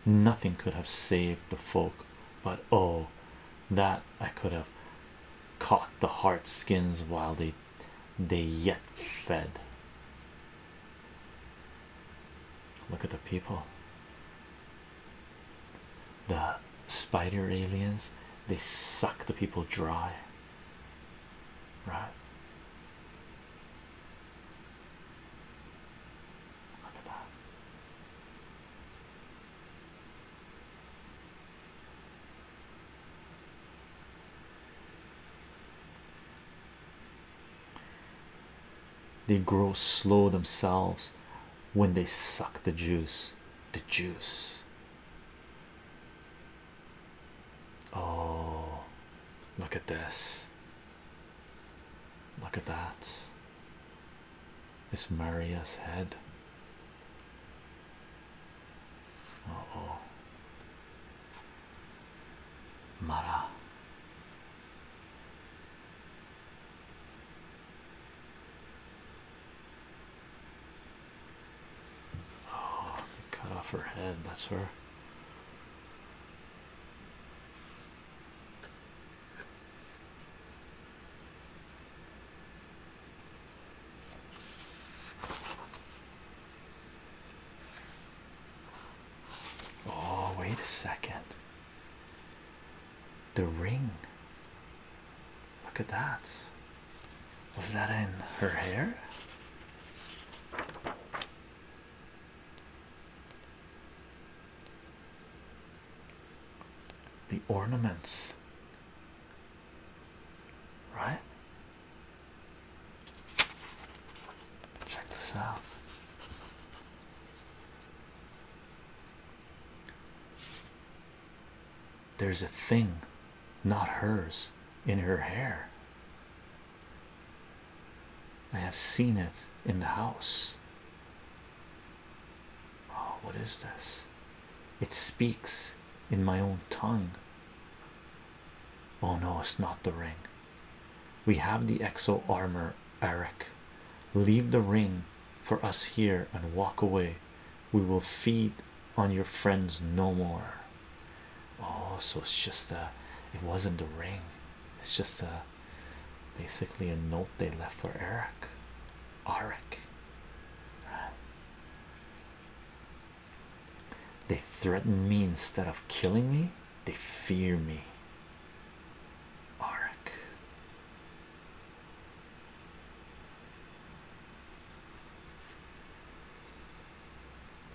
Nothing could have saved the folk, but oh, that I could have caught the hardskins while they they yet fed. Look at the people the spider aliens they suck the people dry right look at that they grow slow themselves when they suck the juice. The juice. Oh, look at this. Look at that. This Maria's head. oh. Mara. Oh, cut off her head. That's her. Oh, wait a second. The ring. Look at that. Was that in her hair? The ornaments, right? Check this out. There's a thing, not hers, in her hair. I have seen it in the house. Oh, what is this? It speaks in my own tongue. Oh no, it's not the ring. We have the exo armor Eric, Leave the ring for us here and walk away. We will feed on your friends no more. Oh, so it's just a it wasn't the ring, it's just a basically a note they left for Eric. Arak. They threaten me instead of killing me, they fear me. Arak.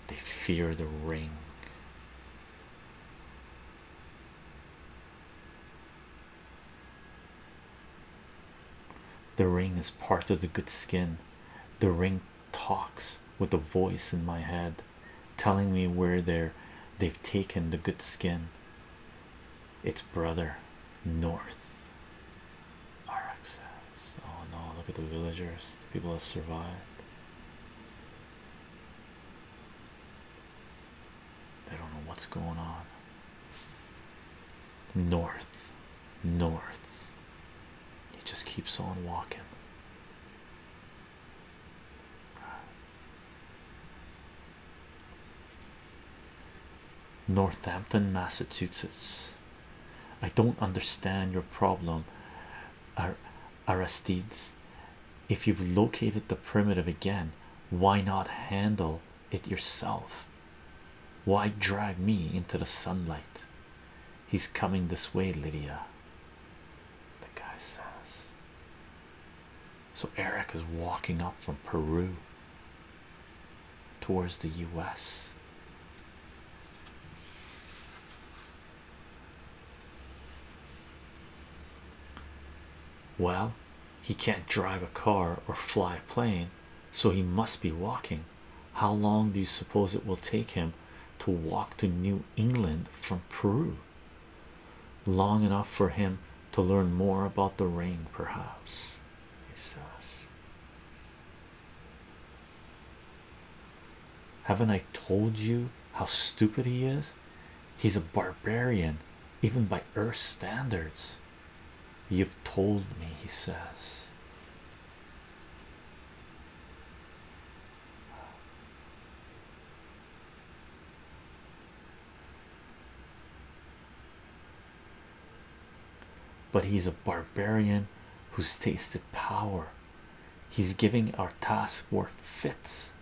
They fear the ring. The ring is part of the good skin. The ring talks with a voice in my head telling me where they're they've taken the good skin its brother north. RX says, Oh no, look at the villagers, the people that survived. They don't know what's going on. North, north. He just keeps on walking. Northampton, Massachusetts. I don't understand your problem, Aristides. If you've located the primitive again, why not handle it yourself? Why drag me into the sunlight? He's coming this way, Lydia. The guy says, so Eric is walking up from Peru towards the US. Well, he can't drive a car or fly a plane, so he must be walking. How long do you suppose it will take him to walk to New England from Peru? Long enough for him to learn more about the rain, perhaps, he says. Haven't I told you how stupid he is? He's a barbarian, even by Earth standards. You've told me, he says. But he's a barbarian who's tasted power. He's giving our task force fits.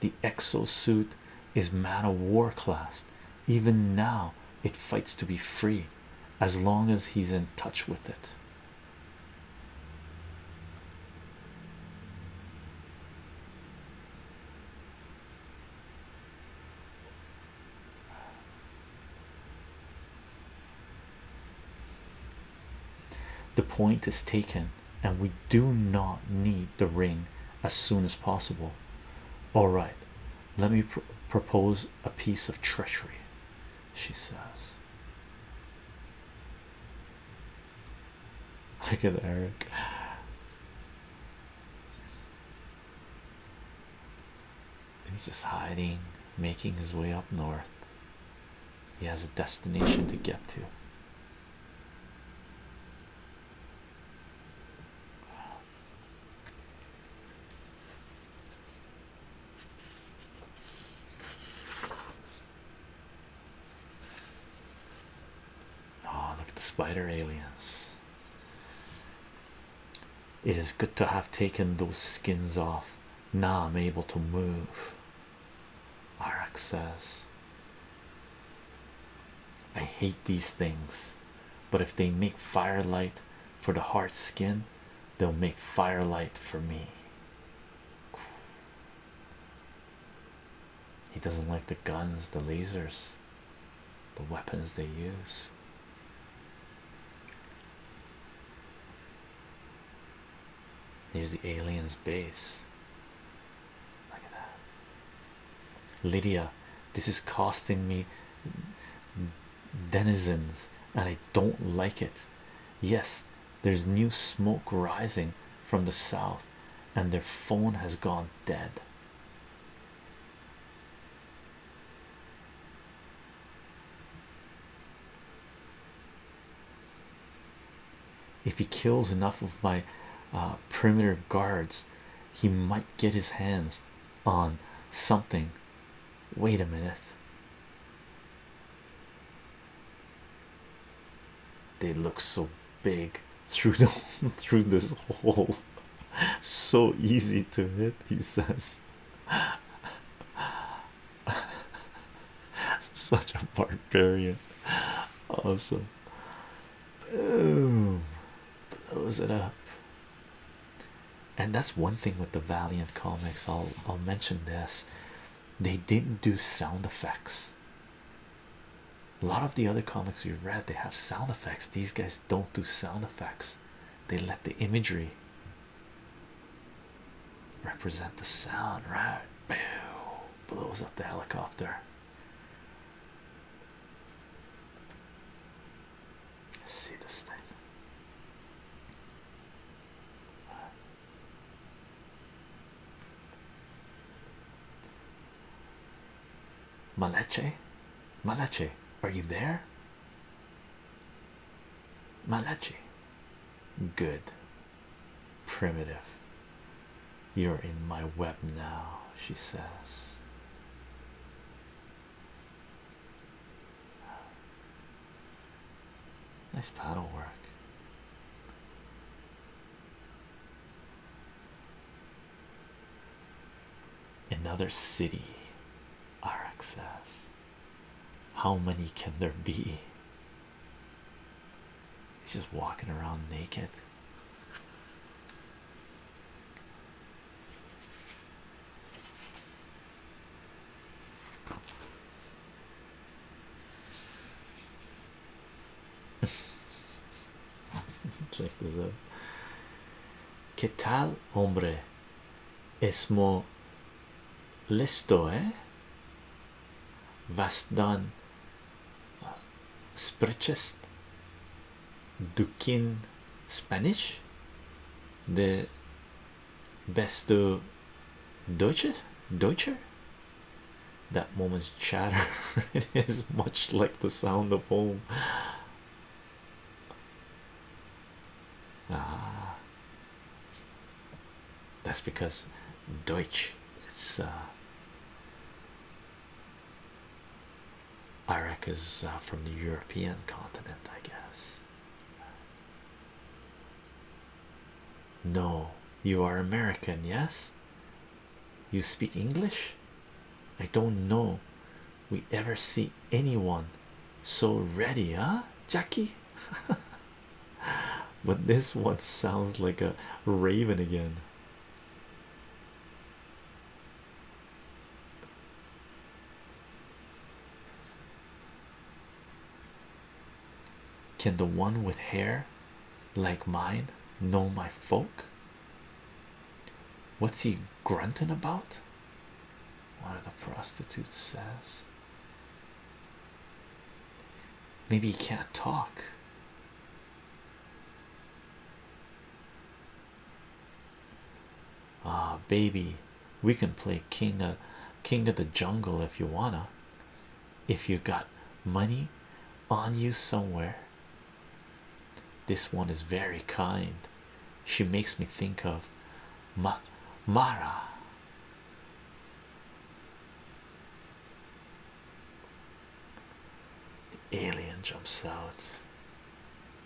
The exosuit is man of war class. Even now, it fights to be free as long as he's in touch with it. The point is taken, and we do not need the ring as soon as possible. All right, let me propose a piece of treachery, she says. Look at Eric. He's just hiding, making his way up north. He has a destination to get to. Oh, look at the spider aliens. It is good to have taken those skins off. Now I'm able to move. Arak says, I hate these things, but if they make firelight for the hard skin, they'll make firelight for me. He doesn't like the guns, the lasers, the weapons they use. Here's the aliens' base. Look at that. Lydia, this is costing me denizens, and I don't like it. Yes, there's new smoke rising from the south, and their phone has gone dead. If he kills enough of my uh, perimeter guards, he might get his hands on something. Wait a minute. They look so big through the through this hole so easy to hit he says such a barbarian awesome boom blows it up and that's one thing with the valiant comics i'll i'll mention this they didn't do sound effects a lot of the other comics we've read they have sound effects these guys don't do sound effects they let the imagery represent the sound right Boom. blows up the helicopter see this thing Malache, Malache, are you there? Malachi, good, primitive. You're in my web now, she says. Nice paddle work. Another city, RX says. How many can there be? He's just walking around naked. Check this out. ¿Qué tal, hombre? Es mo listo, eh? Was dann sprechest du kein Spanish? The Besto, Deutsche, Deutsche? That moment's chatter It is much like the sound of home. Ah, that's because Deutsch it's uh, Iraq is uh, from the European continent, I guess. No, you are American, yes. You speak English? I don't know. We ever see anyone so ready, eh, Jackie? but this one sounds like a raven again. Can the one with hair like mine know my folk? What's he grunting about? One of the prostitutes says. Maybe he can't talk. Ah, baby, we can play king of king of the jungle if you wanna. If you got money on you somewhere, this one is very kind. She makes me think of Mara. The alien jumps out.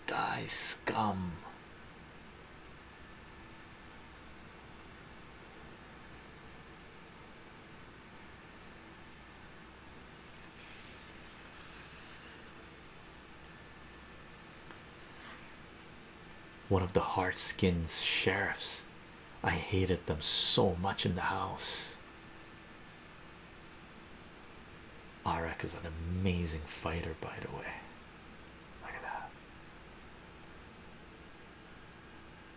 Die scum. One of the hard skins sheriffs. I hated them so much in the house. Arak is an amazing fighter, by the way. Look at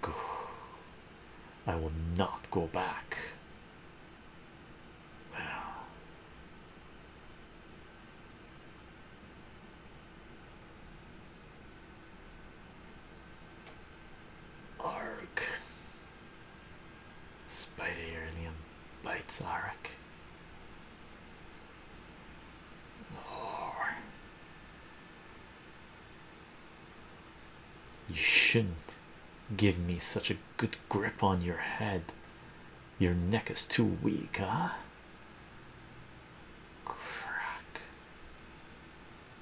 that. I will not go back. Wow. Ark. Spider Uranium bites Ark. Oh. You shouldn't give me such a good grip on your head. Your neck is too weak, huh? Crack.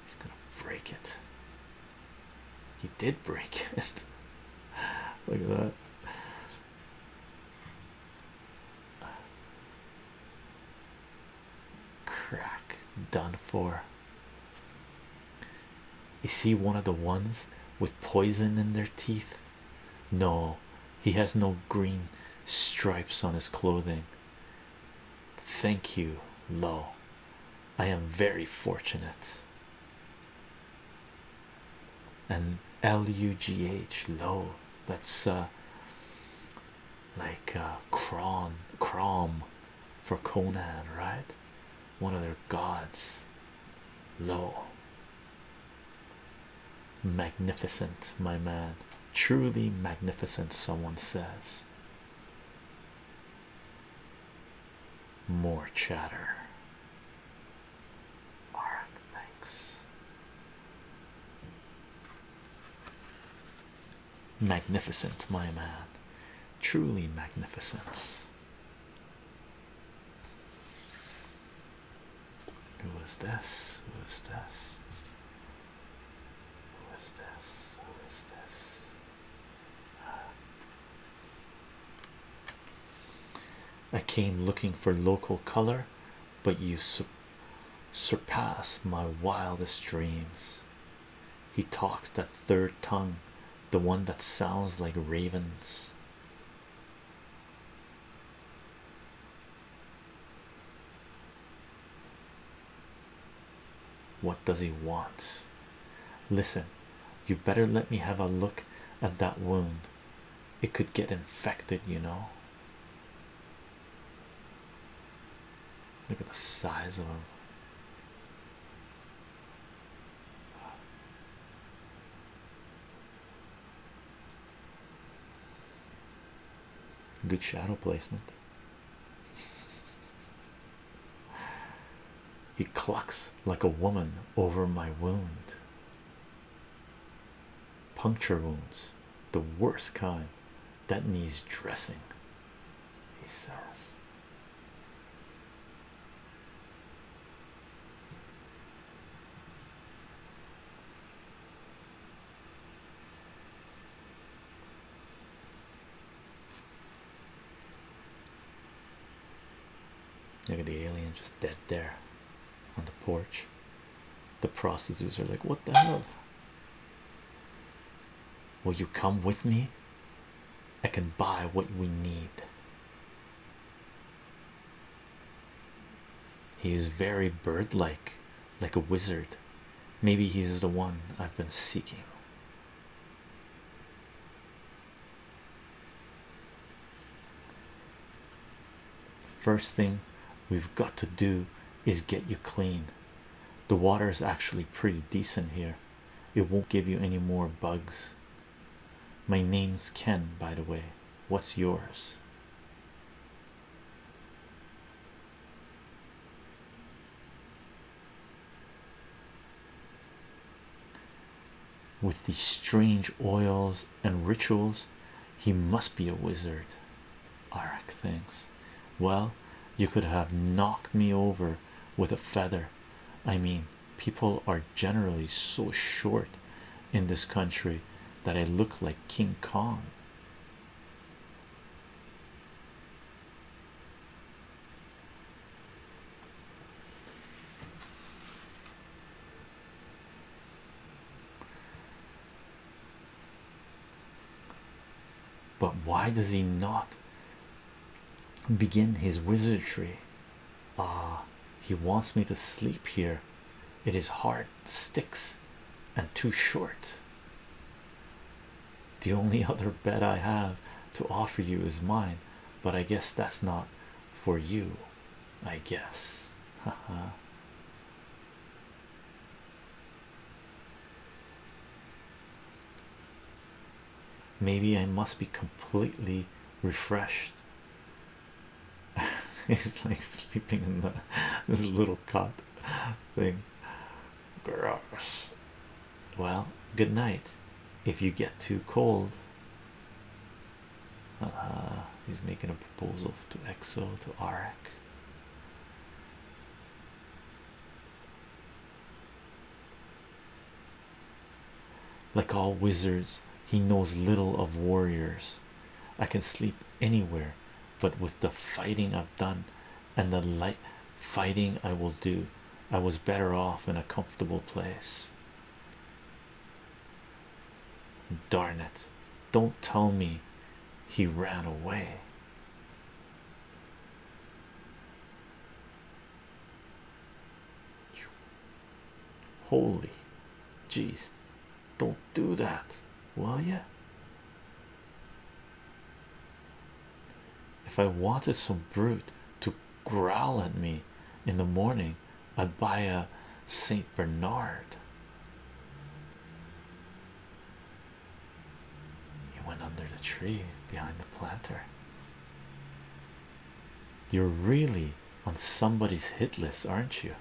He's gonna break it. He did break it. Look at that. Crack done for. Is he one of the ones with poison in their teeth? No, he has no green stripes on his clothing. Thank you, Lo. I am very fortunate. And L-U-G-H low that's uh, like uh cron crom for Conan right one of their gods. Lo, magnificent, my man, truly magnificent, someone says. More chatter. Alright, thanks. Magnificent, my man, truly magnificent. Who is this? Who this? Who is this? Who is this? Ah. I came looking for local color, but you surpass my wildest dreams. He talks that third tongue, the one that sounds like ravens. What does he want? Listen, you better let me have a look at that wound. It could get infected, you know. Look at the size of him. Good shadow placement. he clucks like a woman over my wound. Puncture wounds, the worst kind that needs dressing, he says. Look at the alien just dead there on the porch. The prostitutes are like, What the hell? Will you come with me? I can buy what we need. He is very bird like, like a wizard. Maybe he is the one I've been seeking. First thing we've got to do is get you clean. The water is actually pretty decent here, it won't give you any more bugs. My name's Ken, by the way. What's yours? With these strange oils and rituals, he must be a wizard. Arak thinks, Well, you could have knocked me over with a feather. I mean, people are generally so short in this country that I look like King Kong. But why does he not begin his wizardry Ah, he wants me to sleep here. It is hard, sticks, and too short. The only other bed I have to offer you is mine, but I guess that's not for you. I guess. ha ha. Maybe I must be completely refreshed He's like sleeping in the this little cot thing. Gross. Well, good night. If you get too cold, uh, he's making a proposal to Exo to Arak. Like all wizards, he knows little of warriors. I can sleep anywhere, but with the fighting I've done and the light fighting I will do, I was better off in a comfortable place. Darn it, don't tell me he ran away. Holy jeez, don't do that, will you? If I wanted some brute to growl at me in the morning, I'd buy a Saint Bernard. He went under the tree behind the planter. You're really on somebody's hit list, aren't you?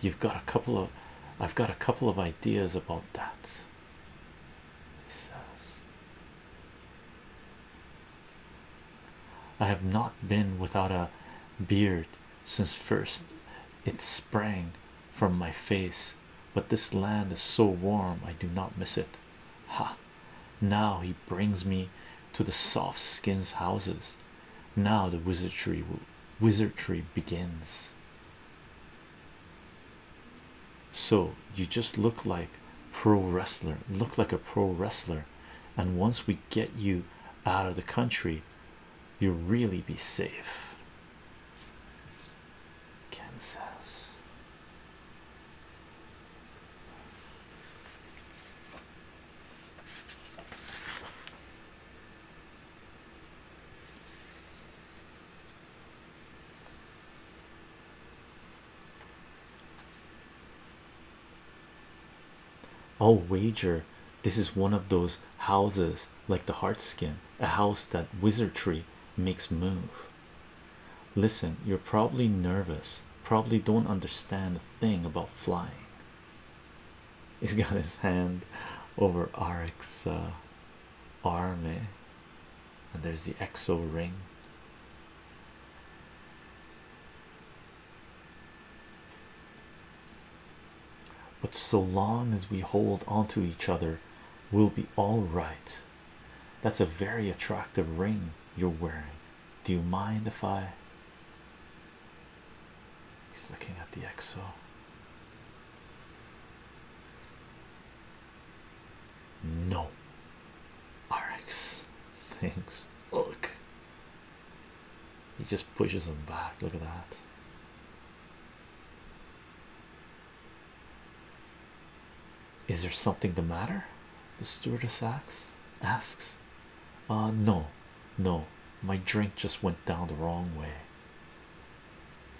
You've got a couple of I've got a couple of ideas about that. He says, I have not been without a beard since first it sprang from my face, but this land is so warm I do not miss it. Ha! Now he brings me to the soft skins houses. Now the wizardry begins. So you just look like pro wrestler, look like a pro wrestler, and once we get you out of the country, you'll really be safe. Ken says I'll oh, wager this is one of those houses like the heart skin, a house that wizardry makes move. Listen, you're probably nervous, probably don't understand a thing about flying. He's got his hand over Aric's uh, arm, eh? and there's the exo ring. But so long as we hold onto each other, we'll be all right. That's a very attractive ring you're wearing. Do you mind if I? He's looking at the EXO. No, RX things. Look, he just pushes him back. Look at that. Is there something the matter? The stewardess Asks. Ah no, no, my drink just went down the wrong way.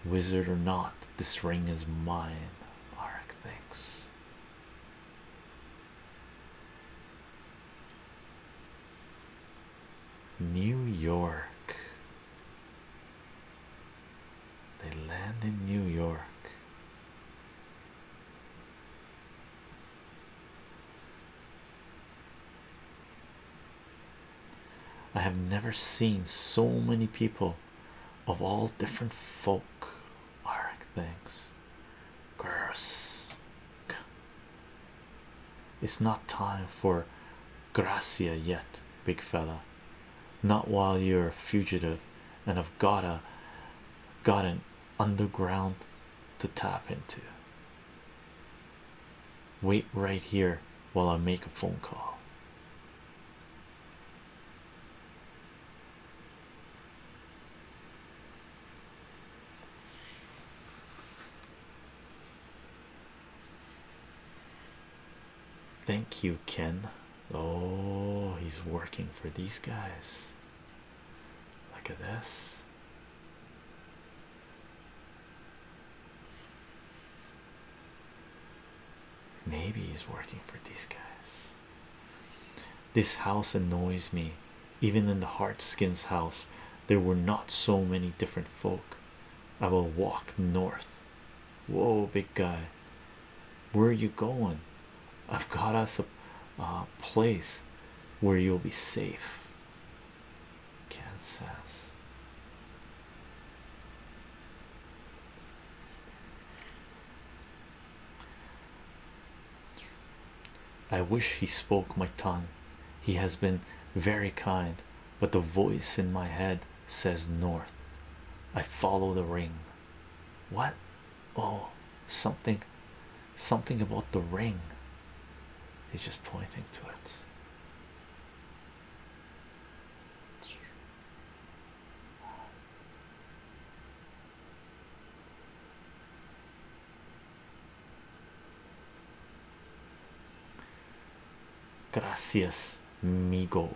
Wizard or not, this ring is mine. Arak, thinks. New York. They land in New York. I have never seen so many people of all different folk Arc things. Grsk. It's not time for Gracia yet, big fella. Not while you're a fugitive and have got to got an underground to tap into. Wait right here while I make a phone call. Thank you, Ken. Oh, he's working for these guys. Look at this. Maybe he's working for these guys. This house annoys me. Even in the Hardskin's house, there were not so many different folk. I will walk north. Whoa, big guy. Where are you going? I've got us a uh, place where you'll be safe. Kansas. I wish he spoke my tongue. He has been very kind, but the voice in my head says north. I follow the ring. What? oh something something about the ring he's just pointing to it Gracias, Migo.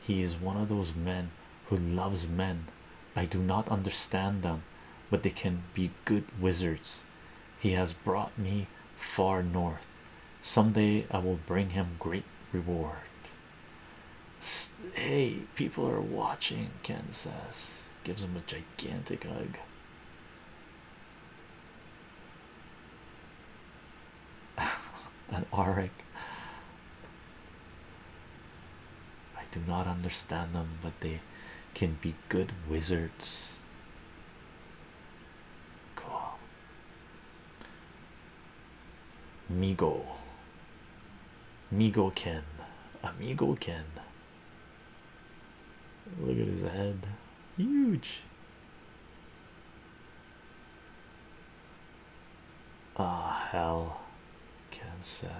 He is one of those men who loves men. I do not understand them, but they can be good wizards. He has brought me far north. Some day I will bring him great reward. Hey, people are watching, Ken says. Gives him a gigantic hug. An arik. I do not understand them, but they can be good wizards. Cool. Migo. Migo kin. Amigo kin. Look at his head. Huge. Ah, oh, hell, Ken says.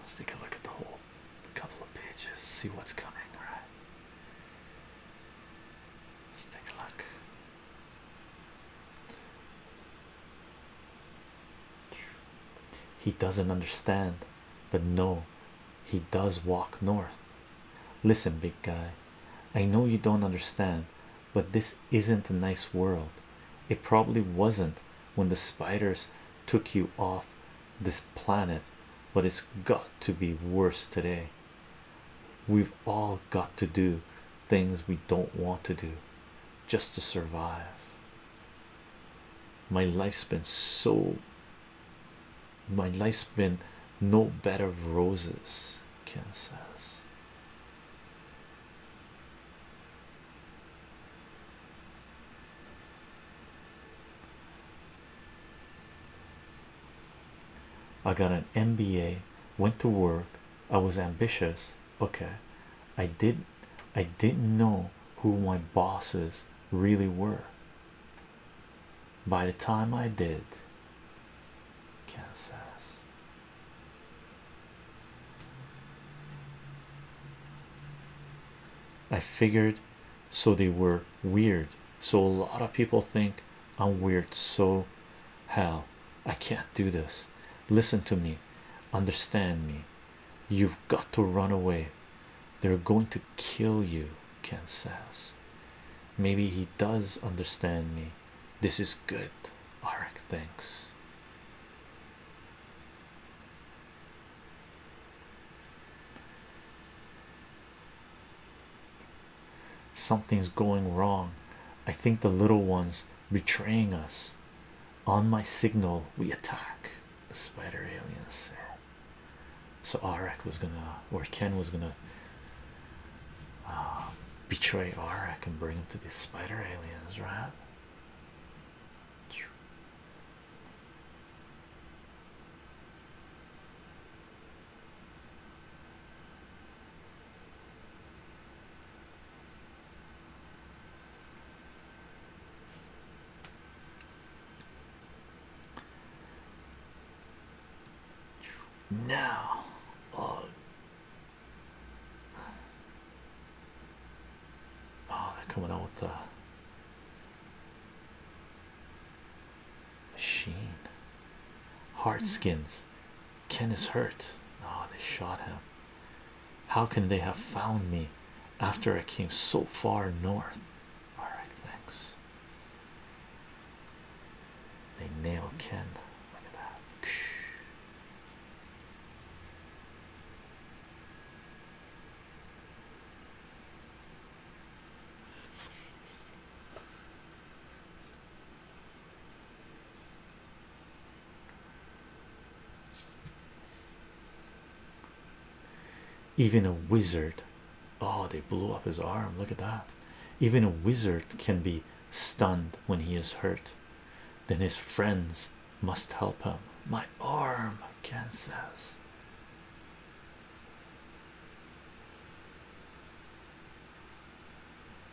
Let's take a look at the whole couple of pages, see what's coming, all right? Let's take a look. He doesn't understand, but no, he does walk north. Listen, big guy, I know you don't understand, but this isn't a nice world. It probably wasn't when the spiders took you off this planet, but it's got to be worse today. We've all got to do things we don't want to do just to survive. My life's been so, my life's been no bed of roses, Ken says. I got an MBA, went to work, I was ambitious, okay i did not i didn't know who my bosses really were by the time i did kansas i figured so they were weird so a lot of people think i'm weird so hell i can't do this listen to me Understand me. You've got to run away. They're going to kill you, Ken Maybe he does understand me. This is good. Arak thanks. Something's going wrong. I think the little ones betraying us. On my signal, we attack. The spider aliens So Arak was gonna, or Ken was gonna, uh, betray Arak and bring him to the spider aliens, right? Now, oh, oh, they're coming out with the machine, hard hmm. skins, Ken is hurt. Ah, they shot him. How can they have found me after I came so far north? All right, thanks. They nail Ken. Look at that. Even a wizard, oh, they blew off his arm. Look at that. Even a wizard can be stunned when he is hurt. Then his friends must help him. My arm, Ken says.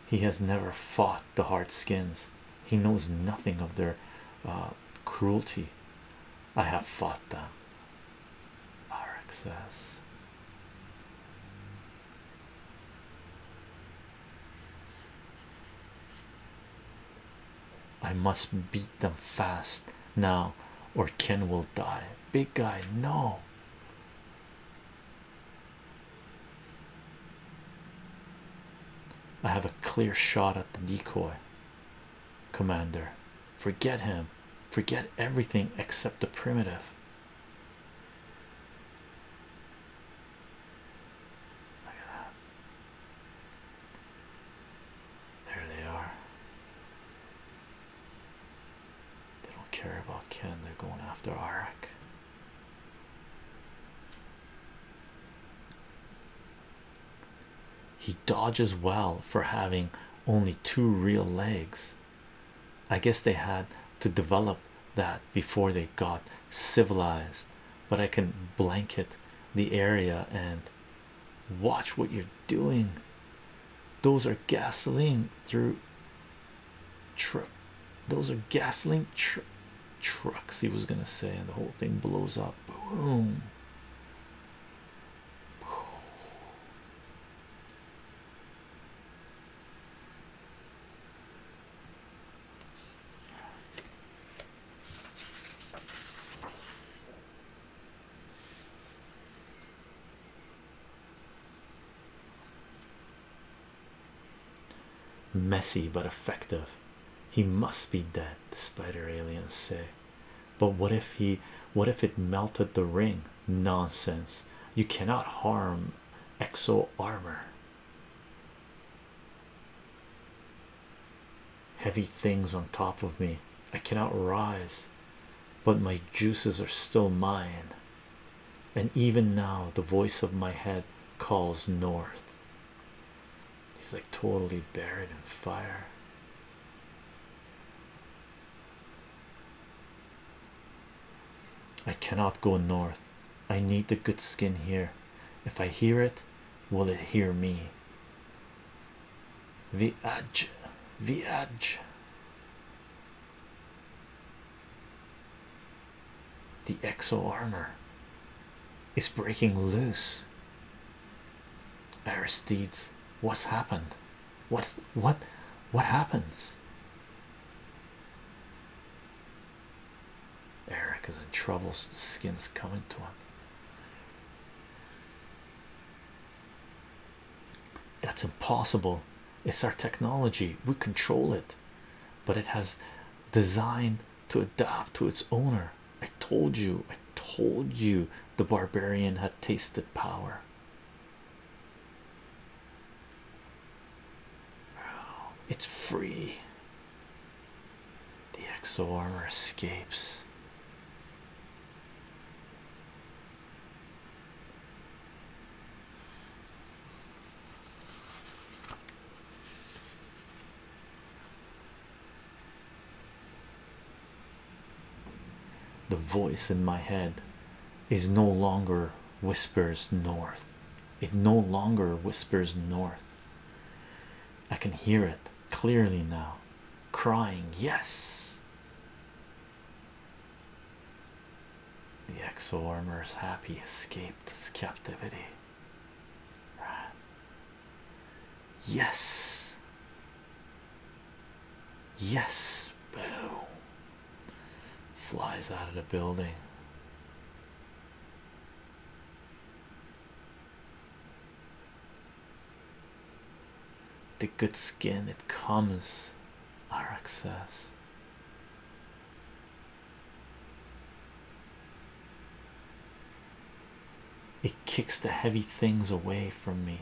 He has never fought the hard skins. He knows nothing of their uh, cruelty. I have fought them. Arik says. I must beat them fast now, or Ken will die. Big guy, no. I have a clear shot at the decoy, Commander. Forget him, forget everything except the primitive. Look at that. There they are. They don't care about Ken, they're going after Arak. He dodges well for having only two real legs. I guess they had to develop that before they got civilized, but I can blanket the area and watch what you're doing. Those are gasoline through trip, those are gasoline trip trucks he was gonna say and the whole thing blows up boom Messy but effective. He must be dead, the spider aliens say. But what if he what if it melted the ring? Nonsense. You cannot harm exo armor. Heavy things on top of me. I cannot rise, but my juices are still mine. And even now, the voice of my head calls north. He's like totally buried in fire. I cannot go north. I need the good skin here. If I hear it, will it hear me? The edge, the edge. The exo armor is breaking loose. Aristides, what's happened? What what what happens? Eric is in trouble, the skin's coming to him. That's impossible. It's our technology, we control it, but it has designed to adapt to its owner. I told you, I told you the barbarian had tasted power. it's free. The exo armor escapes. The voice in my head is no longer whispers north, it no longer whispers north. I can hear it clearly now, crying, Yes. The exo armor happy, escaped its captivity. Yes. Yes. Boom. Flies out of the building. The good skin it comes, Arak says. It kicks the heavy things away from me.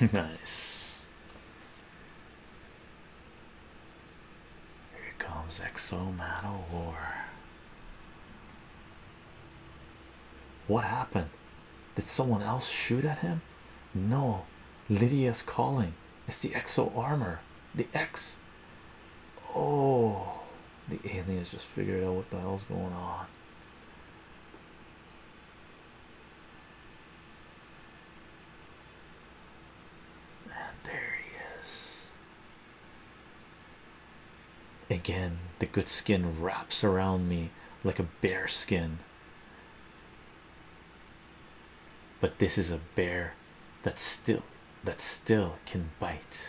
nice. Here comes Exo Man War. What happened? Did someone else shoot at him? No, Lydia's calling. It's the Exo armor. The X. Oh, the aliens just figured out what the hell's going on. there he is. Again, the good skin wraps around me like a bear skin. But this is a bear that still that still can bite.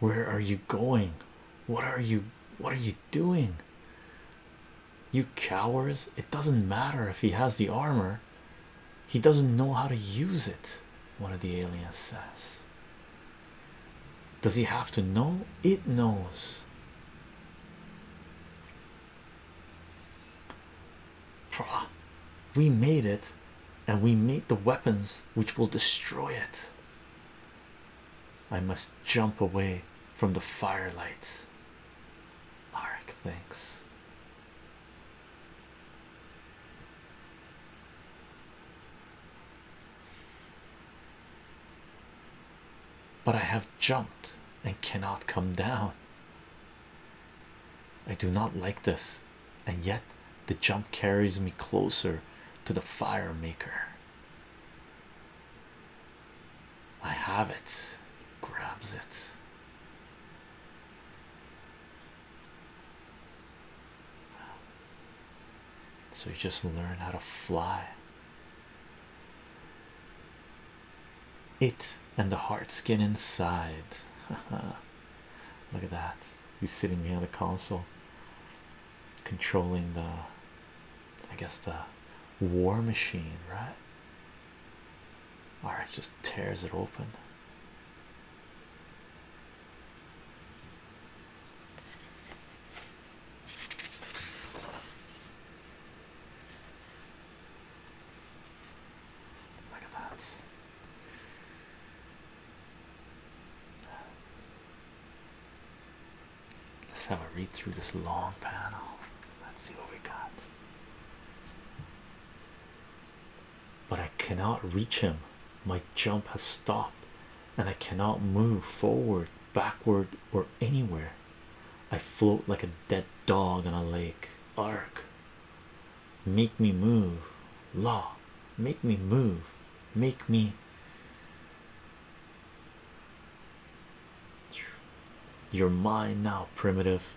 Where are you going? What are you what are you doing? You cowards, it doesn't matter if he has the armor, he doesn't know how to use it. One of the aliens says, Does he have to know? It knows we made it and we made the weapons which will destroy it i must jump away from the firelight Arik thanks but i have jumped and cannot come down I do not like this, and yet the jump carries me closer to the fire maker. I have it, grabs it. So you just learn how to fly it and the hard skin inside. Look at that. He's sitting behind the console, controlling the, I guess, the war machine, right? All right, just tears it open. Look at that. Let's have a read through this long panel. Let's see what we got. But I cannot reach him. My jump has stopped, and I cannot move forward, backward, or anywhere. I float like a dead dog on a lake. Ark make me move law make me move make me you're mine now primitive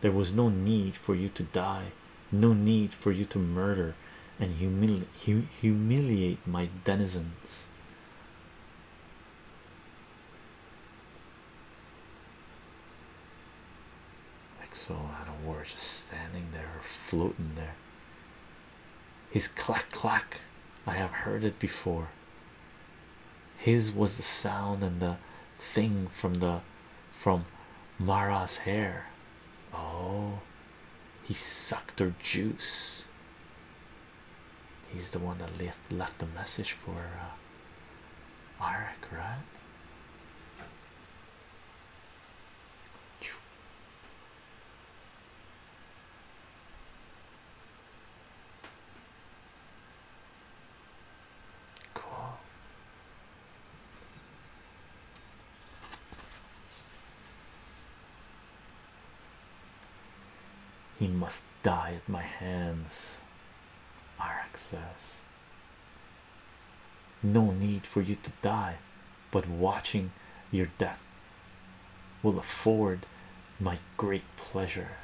there was no need for you to die no need for you to murder and humiliate my denizens like so, out of war just standing there, floating there. His clack clack, I have heard it before. His was the sound and the thing from the from Mara's hair. Oh, he sucked her juice. He's the one that left left the message for. Uh, Eric, right? Cool. He must die at my hands, Arak says. No need for you to die, but watching your death will afford my great pleasure.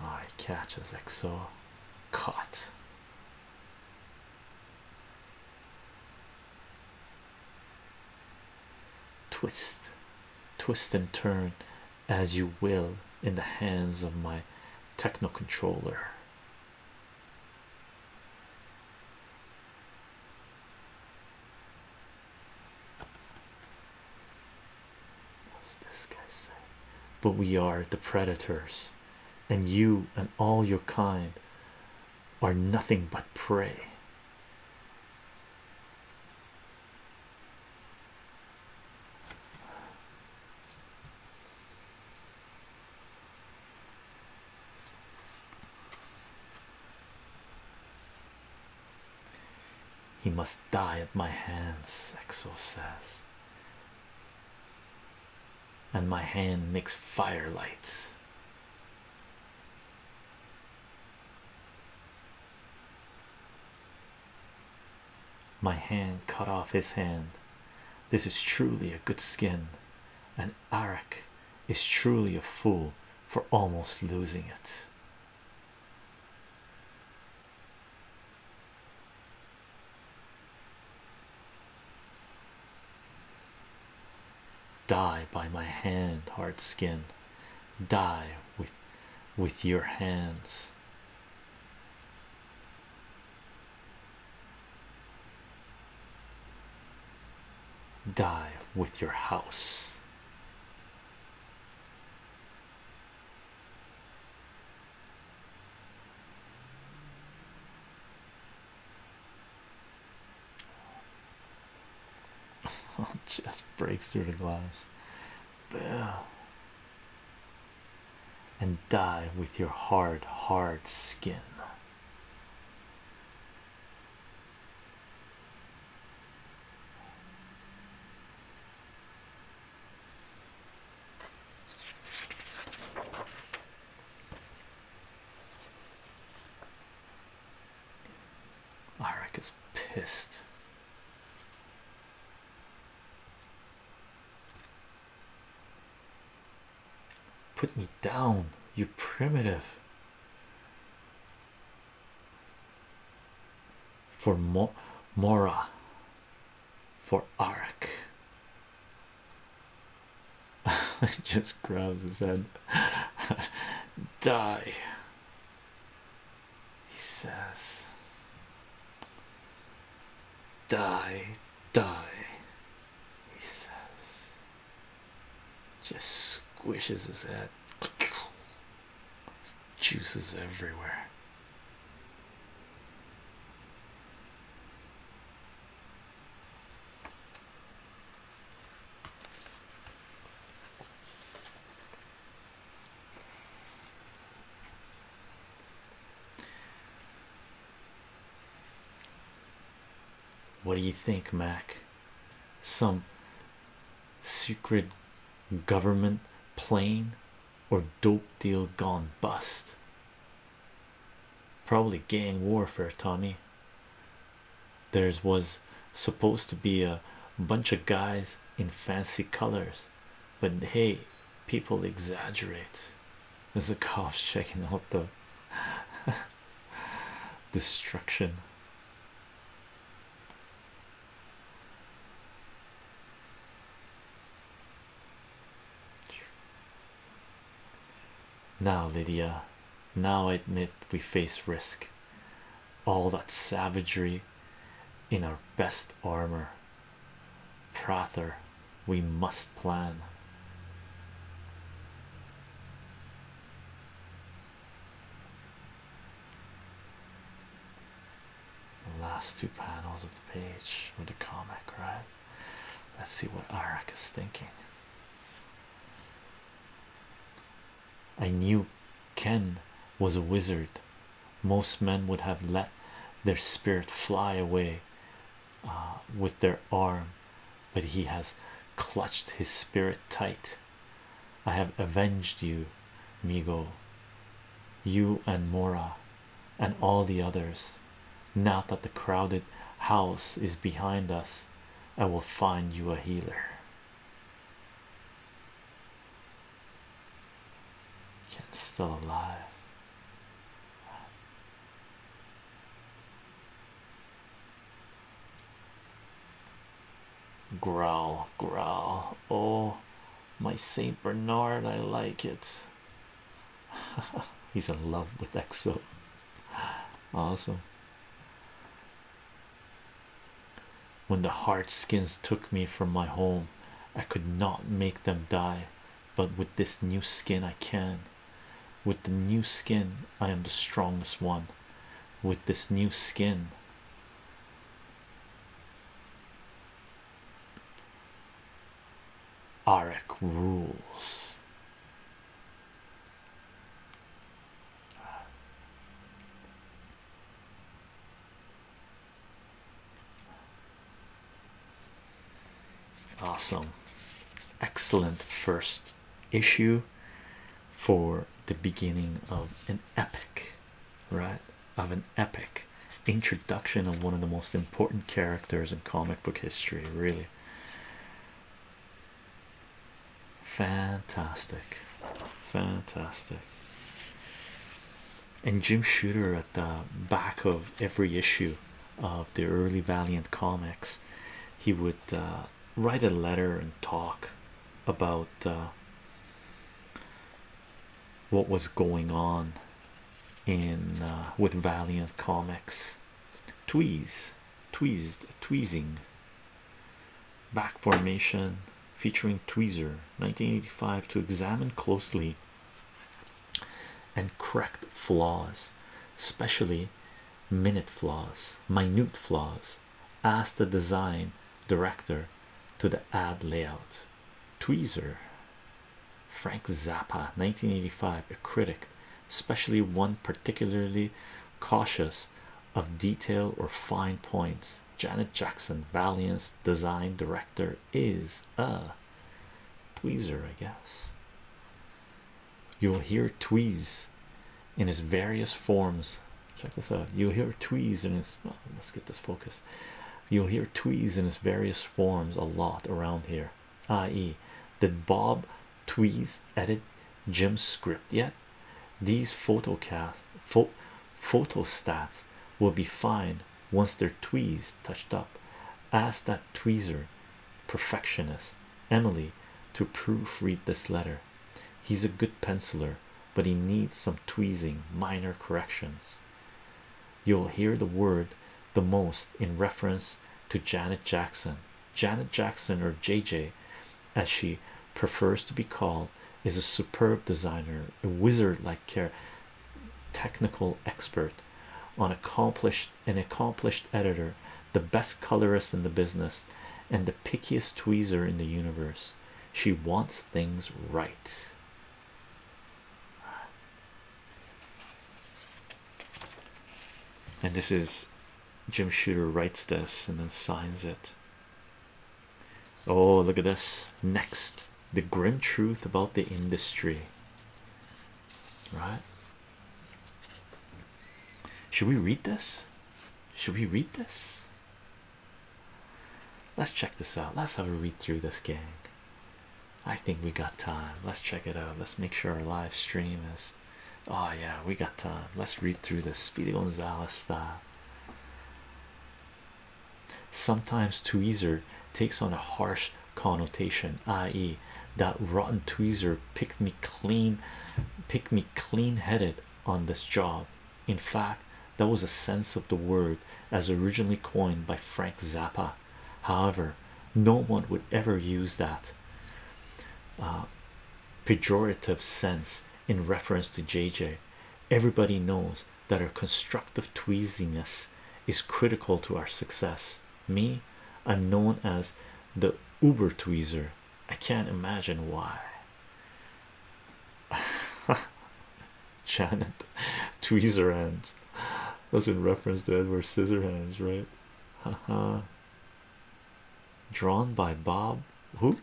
I oh, catches XO caught. Twist, twist, and turn as you will in the hands of my techno controller. What's this guy say? But we are the predators, and you and all your kind are nothing but prey. He must die at my hands, Exo says and my hand makes fire lights. My hand cut off his hand. This is truly a good skin, and Arak is truly a fool for almost losing it. Die by my hand, hard skin. Die with with your hands. Die with your house. just breaks through the glass. Boom. And die with your hard, hard skin. Arik is pissed. Put me down, you primitive. For Mo Mora, for Arik, he just grabs his head. Die, he says. Die, die, he says. Just squishes his head. Juices everywhere. What do you think, Mac? Some secret government plane or dope deal gone bust? Probably gang warfare, Tommy. There's was supposed to be a bunch of guys in fancy colors, but hey, people exaggerate. There's a cops checking out the destruction. Now, Lydia, now I admit we face risk. All that savagery in our best armor. Prother, we must plan. The last two panels of the page with the comic, right? Let's see what Arak is thinking. I knew Ken was a wizard. Most men would have let their spirit fly away uh, with their arm, but he has clutched his spirit tight. I have avenged you, Migo, you and Mora, and all the others. Now that the crowded house is behind us, I will find you a healer. Ken's still alive. Growl, growl. Oh, my Saint Bernard, I like it. He's in love with Exo. Awesome. When the hard skins took me from my home, I could not make them die, but with this new skin, I can. With the new skin, I am the strongest one. With this new skin, Arik rules. Awesome, excellent first issue for the beginning of an epic, right? Of an epic introduction of one of the most important characters in comic book history, really. Fantastic, fantastic. And Jim Shooter at the back of every issue of the early Valiant comics, he would uh, write a letter and talk about uh, what was going on in uh, with Valiant comics. Tweez, tweezed tweezing back formation featuring tweezer 1985 to examine closely and correct flaws especially minute flaws minute flaws ask the design director to the ad layout tweezer frank zappa 1985 a critic especially one particularly cautious of detail or fine points. Janet Jackson, Valiant's design director, is a tweezer, I guess. You'll hear tweez in his various forms. Check this out. You'll hear tweez in his. let's get this focus. You'll hear tweez in its various forms a lot around here. I.e., did Bob Tweez edit Jim's script yet. These photocast pho will be fine once they're tweezed touched up. Ask that tweezer perfectionist Emily to proofread this letter. He's a good penciler, but he needs some tweezing, minor corrections. You'll hear the word the most in reference to Janet Jackson Janet Jackson, or JJ, as she prefers to be called, is a superb designer, a wizard like care, technical expert, on accomplished an accomplished editor, the best colorist in the business, and the pickiest tweezer in the universe. She wants things right. And this is Jim Shooter writes this and then signs it. Oh, look at this. Next, the grim truth about the industry. Right? Should we read this? Should we read this? Let's check this out. Let's have a read through this, gang. I think we got time. Let's check it out. Let's make sure our live stream is Oh, yeah, we got Let's read through this. Speedy Gonzalez style. Uh, sometimes tweezer takes on a harsh connotation, i.e., that rotten tweezer picked me clean, picked me clean headed on this job. In fact, that was a sense of the word as originally coined by Frank Zappa. However, no one would ever use that. Uh, pejorative sense in reference to JJ. Everybody knows that our constructive tweeziness is critical to our success. Me, I'm known as the uber tweezer. I can't imagine why. Janet tweezer hands. That's in reference to Edward hands, right? Haha drawn by Bob who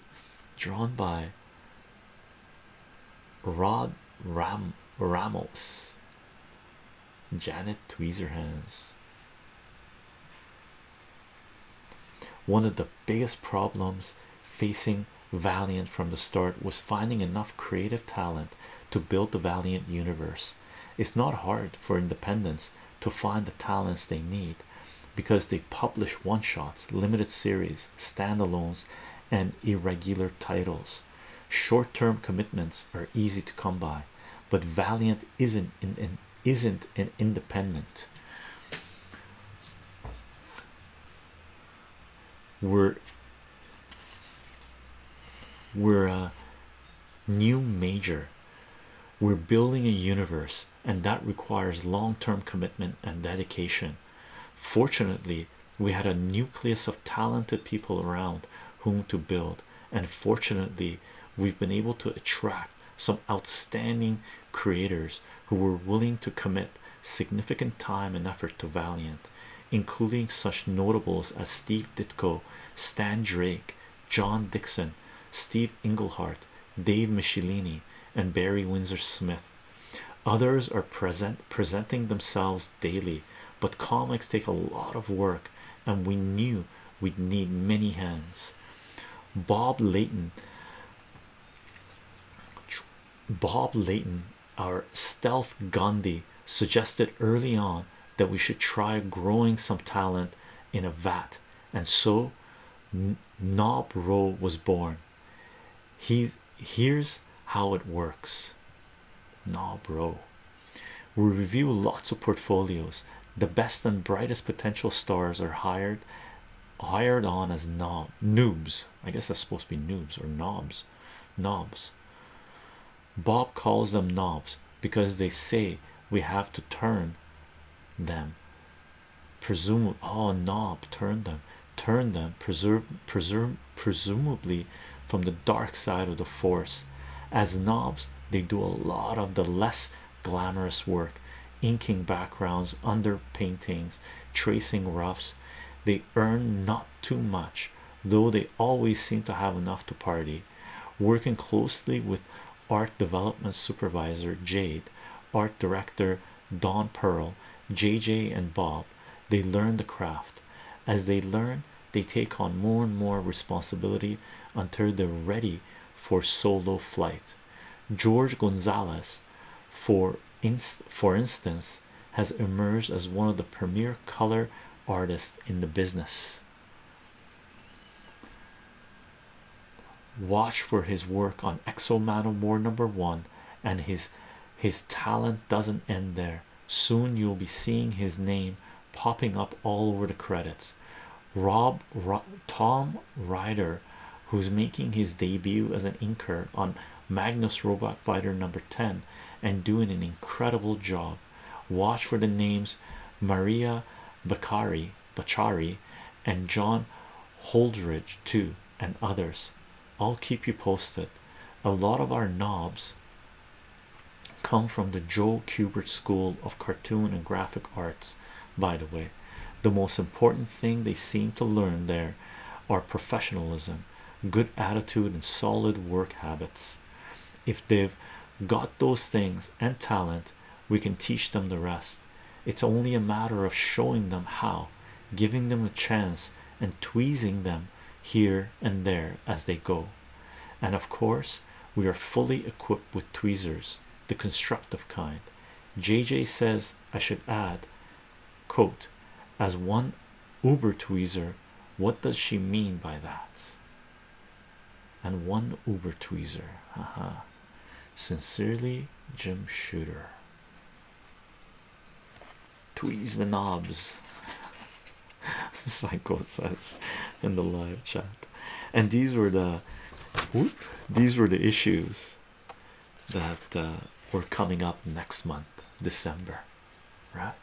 drawn by Rod Ram Ramos Janet Tweezerhands one of the biggest problems facing Valiant from the start was finding enough creative talent to build the Valiant universe. It's not hard for Independence to find the talents they need because they publish one shots, limited series, standalones, and irregular titles. Short term commitments are easy to come by, but Valiant isn't in, isn't an independent. We're we're a new major. We're building a universe and that requires long term commitment and dedication. Fortunately, we had a nucleus of talented people around whom to build, and fortunately, we've been able to attract some outstanding creators who were willing to commit significant time and effort to Valiant, including such notables as Steve Ditko, Stan Drake, John Dixon, Steve Inglehart, Dave Michelini, and Barry Windsor Smith. Others are present presenting themselves daily, but comics take a lot of work, and we knew we'd need many hands. Bob Layton, Bob Layton, our stealth Gandhi, suggested early on that we should try growing some talent in a vat, and so Knob Row was born. He's here's how it works. Knob Row. We review lots of portfolios. The best and brightest potential stars are hired hired on as knob noobs. I guess that's supposed to be noobs or knobs. Knobs. Bob calls them knobs because they say we have to turn them Presume oh knob turn them, turn them, preserve, preserve, presumably from the dark side of the force. As knobs, they do a lot of the less glamorous work, inking backgrounds, underpaintings, tracing roughs. They earn not too much, though they always seem to have enough to party. Working closely with art development supervisor Jade, art director Don Pearl, JJ, and Bob. They learn the craft. As they learn, they take on more and more responsibility until they're ready for solo flight. George Gonzalez, for, inst for instance, has emerged as one of the premier color artists in the business watch for his work on Exomano War number one, and his his talent doesn't end there. Soon you'll be seeing his name popping up all over the credits. Rob, Rob Tom Ryder, who's making his debut as an inker on Magnus Robot Fighter number 10 and doing an incredible job. Watch for the names Maria Bakari Bachari and John Holdridge too and others. I'll keep you posted. A lot of our knobs come from the Joe Kubert School of Cartoon and Graphic Arts, by the way. The most important thing they seem to learn there are professionalism, good attitude, and solid work habits. If they've got those things and talent, we can teach them the rest. It's only a matter of showing them how, giving them a chance, and tweezing them here and there as they go. And of course, we are fully equipped with tweezers, the constructive kind. JJ says I should add, quote, as one Uber tweezer, what does she mean by that? And one Uber tweezer, ha. Uh-huh. Sincerely, Jim Shooter. Tweeze the knobs, Psycho says in the live chat. And these were the these were the issues that uh, were coming up next month, December, right?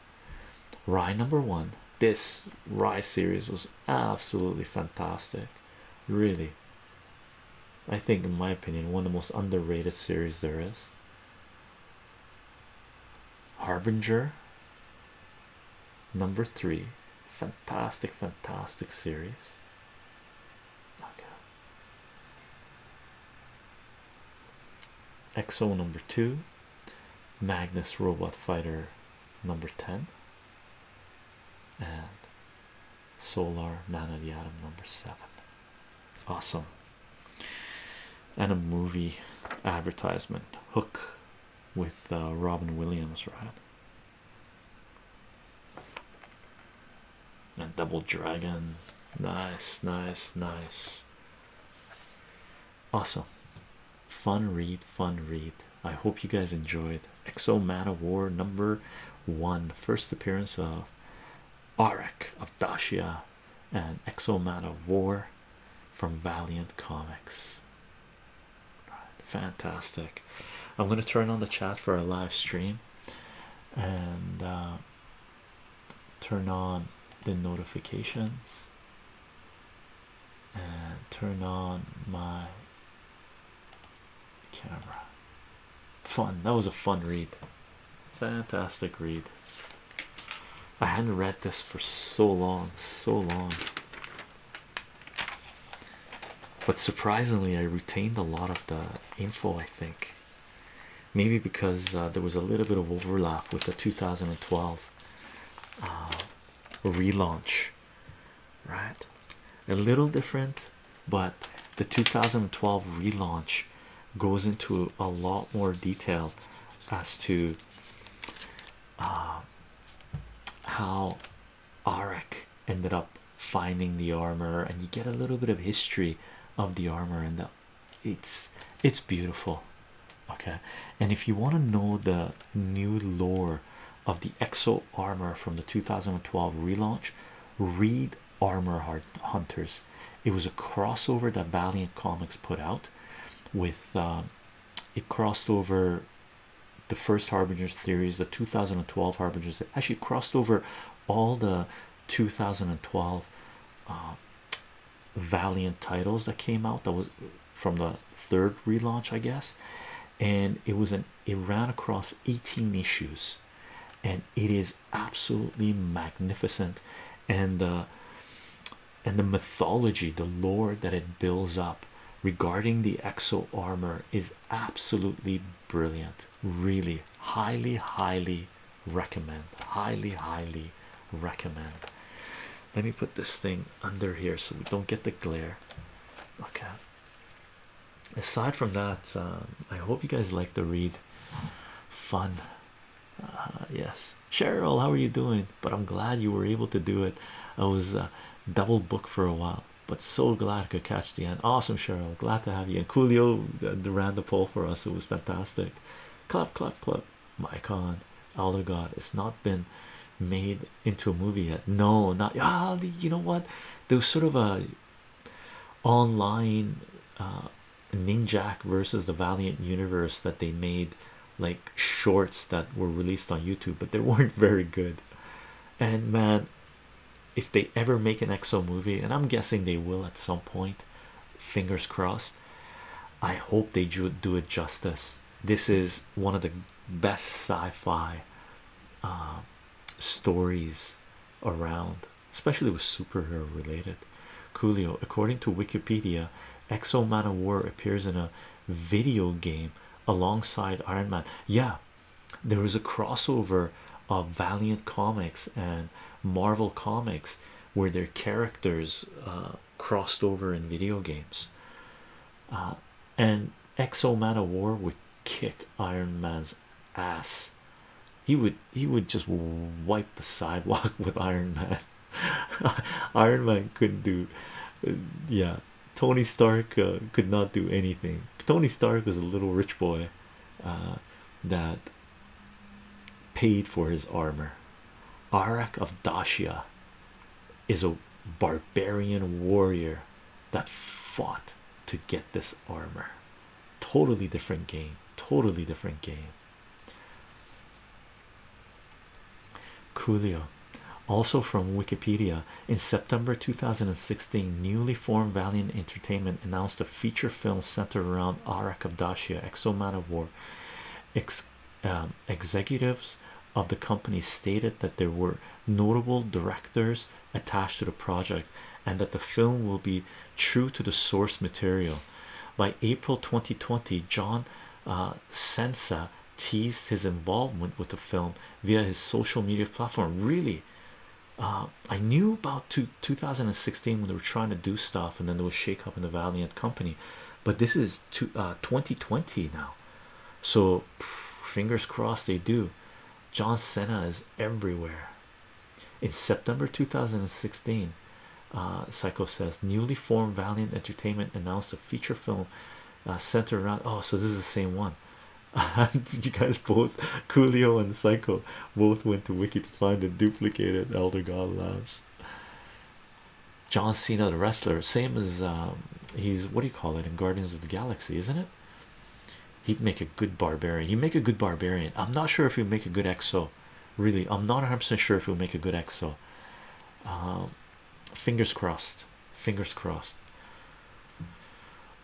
Rye number one. This Rye series was absolutely fantastic. Really, I think, in my opinion, one of the most underrated series there is. Harbinger number three, fantastic, fantastic series. Exo number two, Magnus Robot Fighter number 10, and solar man of the atom number seven awesome and a movie advertisement hook with uh, Robin Williams right and double dragon nice nice nice awesome fun read fun read I hope you guys enjoyed Exo Man of War number one, first appearance of Arak of Dacia and Exo Man of War from Valiant Comics. Fantastic. I'm going to turn on the chat for a live stream and uh, turn on the notifications and turn on my camera. Fun. That was a fun read. Fantastic read. I hadn't read this for so long, so long. But surprisingly, I retained a lot of the info, I think. Maybe because uh, there was a little bit of overlap with the 2012 uh, relaunch right? A little different, but the 2012 relaunch goes into a lot more detail as to uh, how Arik ended up finding the armor, and you get a little bit of history of the armor, and it's it's beautiful. Okay, and if you want to know the new lore of the exo armor from the 2012 relaunch, Reed Armor Hunters. It was a crossover that Valiant Comics put out with uh, it crossed over the first Harbinger's Theories, the 2012 Harbinger's, actually crossed over all the 2012 uh, Valiant titles that came out that was from the third relaunch, I guess. And it was an it ran across 18 issues and it is absolutely magnificent and uh, and the mythology the lore that it builds up regarding the exo armor is absolutely brilliant really highly highly recommend highly highly recommend let me put this thing under here so we don't get the glare okay aside from that uh, i hope you guys like the read fun uh, yes cheryl how are you doing but i'm glad you were able to do it i was uh, double booked for a while but so glad i could catch the end awesome cheryl glad to have you and coolio the, the ran the poll for us it was fantastic clap clap clap my God, elder god it's not been made into a movie yet no not ah, you know what there was sort of a online uh, ninjak versus the valiant universe that they made like shorts that were released on youtube but they weren't very good and man if they ever make an exo movie and i'm guessing they will at some point fingers crossed i hope they do it justice this is one of the best sci-fi uh, stories around, especially with superhero related. Coolio, according to Wikipedia, Exo Man of War appears in a video game alongside Iron Man. Yeah, there was a crossover of Valiant Comics and Marvel Comics where their characters uh, crossed over in video games. Uh, and Exo Man of War would kick Iron Man's ass. He would he would just wipe the sidewalk with Iron Man. Iron Man couldn't do, yeah. Tony Stark uh, could not do anything. Tony Stark was a little rich boy uh, that paid for his armor. Arak of Dacia is a barbarian warrior that fought to get this armor. Totally different game, totally different game. Coolio, also from Wikipedia, in September 2016, newly formed Valiant Entertainment announced a feature film centered around Ara Kapdashian, Exoman of War. Um, executives of the company stated that there were notable directors attached to the project and that the film will be true to the source material. By April 2020, John uh, Sensa teased his involvement with the film via his social media platform. Really, uh, I knew about 2016 when they were trying to do stuff and then there was shake up in the Valiant company, but this is 2020 uh, now. So, fingers crossed they do. John Cena is everywhere. In September 2016, uh, Psycho says newly formed Valiant Entertainment announced a feature film uh, centered around. Oh, so this is the same one. Did you guys both, Julio and Psycho, both went to Wiki to find the duplicated Elder God Labs? John Cena, the wrestler, same as um, he's what do you call it in Guardians of the Galaxy, isn't it? He'd make a good barbarian. He'd make a good barbarian. I'm not sure if he'd make a good exo. Really, I'm not 100% sure if he'll make a good exo. Um, fingers crossed. Fingers crossed.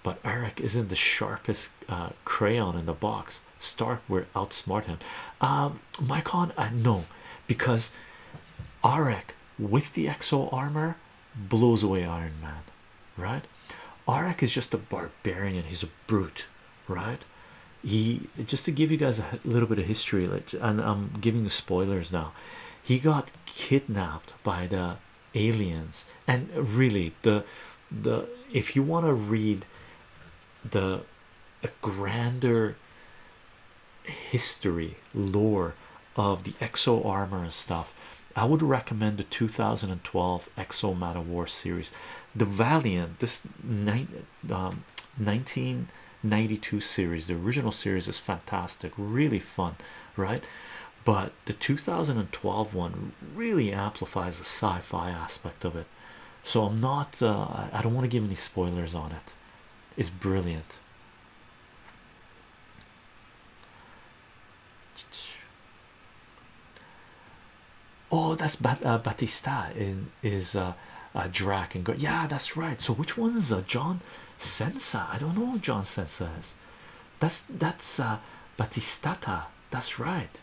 But Eric isn't the sharpest uh, crayon in the box. Stark will outsmart him. Um, uh, no, because Arek with the exo armor blows away Iron Man, right? Arak is just a barbarian, he's a brute, right? He just to give you guys a little bit of history, and I'm giving you spoilers now. He got kidnapped by the aliens, and really, the the if you want to read the a grander history lore of the exo armor and stuff I would recommend the 2012 Exo Mata War series. The Valiant, this nine, um, 1992 series, the original series is fantastic, really fun, right? But the 2012 one really amplifies the sci fi aspect of it. So I'm not, uh, I don't want to give any spoilers on it. It's brilliant. Oh, that's uh, Batista in is a uh, uh, Drac and go. Yeah, that's right. So which one is uh, John Sensa? I don't know John Sensa is. That's that's Batistata. That's right.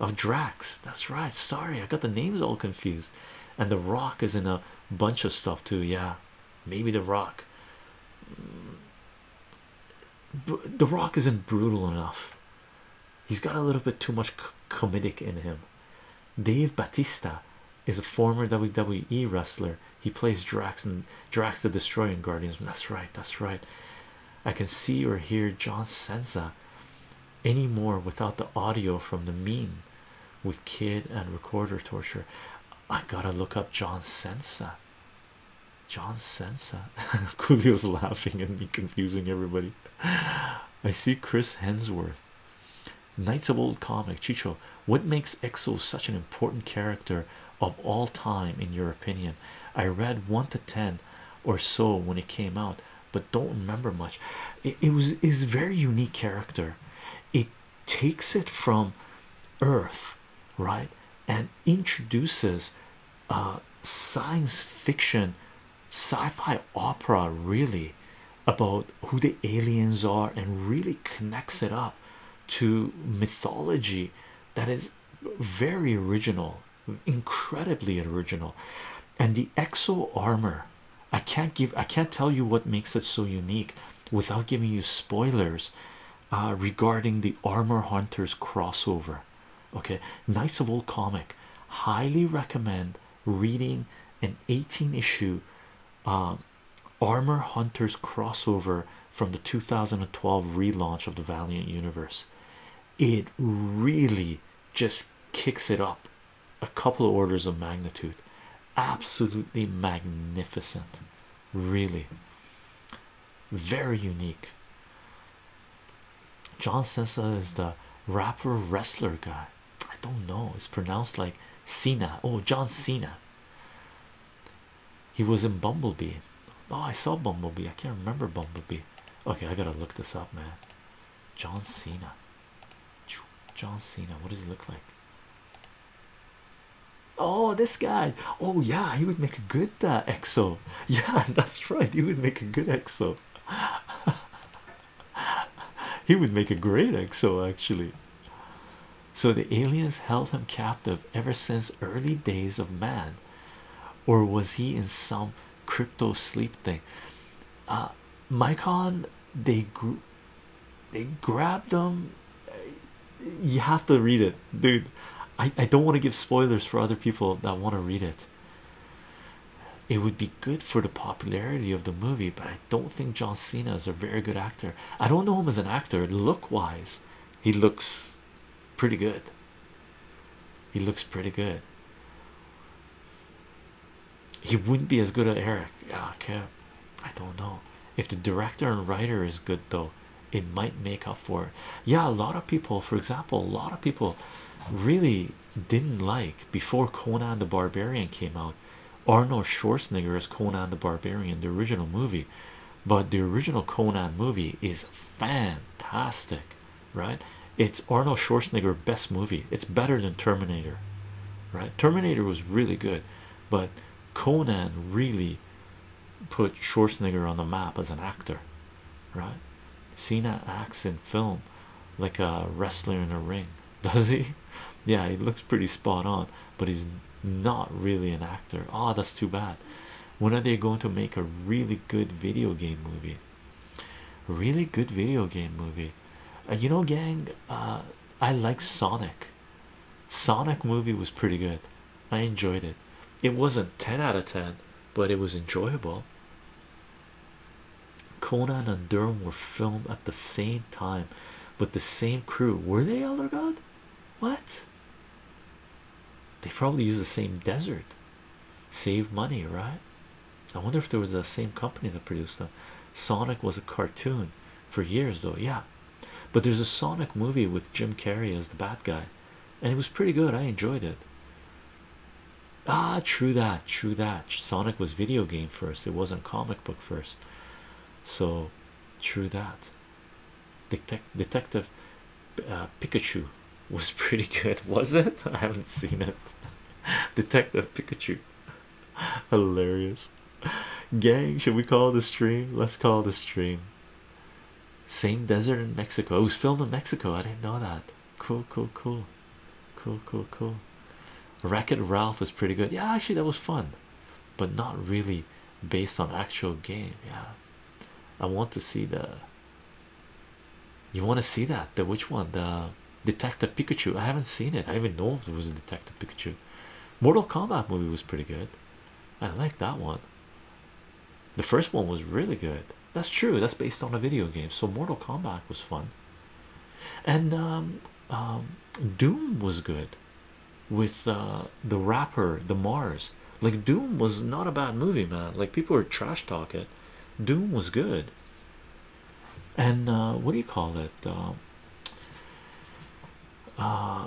Of Drax. That's right. Sorry, I got the names all confused. And the Rock is in a bunch of stuff too. Yeah, maybe the Rock. The Rock isn't brutal enough. He's got a little bit too much comedic in him. Dave Batista is a former WWE wrestler. He plays Drax and Drax the Destroyer in Guardians. That's right. That's right. I can see or hear John Cena anymore without the audio from the meme with kid and recorder torture. I gotta look up John Cena. John Sensa. Coolio's laughing and me confusing everybody. I see Chris Hensworth. Knights of Old Comic. Chicho, what makes Exo such an important character of all time in your opinion? I read 1 to 10 or so when it came out, but don't remember much. It, it was is very unique character. It takes it from Earth, right? And introduces uh, science fiction sci-fi opera really about who the aliens are and really connects it up to mythology that is very original incredibly original and the exo armor i can't give i can't tell you what makes it so unique without giving you spoilers uh, regarding the armor hunters crossover Okay, nice of Old Comic. Highly recommend reading an 18 issue um, Armor Hunters crossover from the 2012 relaunch of the Valiant universe. It really just kicks it up a couple orders of magnitude. Absolutely magnificent, really very unique. John Cena is the rapper wrestler guy. I don't know, it's pronounced like Cena. Oh, John Cena. He was in Bumblebee. Oh, I saw Bumblebee. I can't remember Bumblebee. Okay, I gotta look this up, man. John Cena. John Cena, what does he look like? Oh, this guy. Oh, yeah, he would make a good good exo. Yeah, that's right. He would make a good exo. he would make a great exo, actually. So the aliens held him captive ever since early days of man, or was he in some crypto sleep thing? Uh, Mycon, they they grabbed them. You have to read it, dude. I, I don't want to give spoilers for other people that want to read it. It would be good for the popularity of the movie, but I don't think John Cena is a very good actor. I don't know him as an actor, look wise, he looks pretty good. He looks pretty good. He wouldn't be as good as Eric. Yeah, uh, okay. I don't know if the director and writer is good though it might make up for it. Yeah, a lot of people, for example, a lot of people really didn't like before Conan the Barbarian came out. Arnold Schwarzenegger as Conan the Barbarian, the original movie, but the original Conan movie is fantastic, right? It's Arnold Schwarzenegger's best movie. It's better than Terminator, right? Terminator was really good, but Conan really put Schwarzenegger on the map as an actor, right? Cena acts in film like a wrestler in a ring, does he? Yeah, he looks pretty spot on, but he's not really an actor. Oh, that's too bad. When are they going to make a really good video game movie? Really good video game movie. Uh, you know, gang, uh, I like Sonic. Sonic movie was pretty good. I enjoyed it. It wasn't 10 out of 10, but it was enjoyable. Conan and Durham were filmed at the same time, with the same crew. Were they Elder God? What? They probably used the same desert. Save money, right? I wonder if there was the same company that produced them. Sonic was a cartoon for years, though. Yeah, but there's a Sonic movie with Jim Carrey as the bad guy, and it was pretty good. I enjoyed it. Ah, true that, true that. Sonic was video game first, it wasn't comic book first. So, true that. Detective uh, Pikachu was pretty good, was it? I haven't seen it. Detective Pikachu, hilarious. Gang, should we call the stream? Let's call the stream. Same desert in Mexico. It was filmed in Mexico. I didn't know that. Cool, cool, cool, cool, cool, cool. Racket Ralph was pretty good. Yeah, actually, that was fun, but not really based on actual game. Yeah, I want to see the. You want to see that? The which one? The Detective Pikachu. I haven't seen it. I even know if there was a Detective Pikachu. Mortal Kombat movie was pretty good. I like that one. The first one was really good. That's true. That's based on a video game. So Mortal Kombat was fun, and um, um, Doom was good with uh, the rapper the Mars. Like Doom was not a bad movie, man. Like people were trash talking. Doom was good. And uh, what do you call it? Um, uh,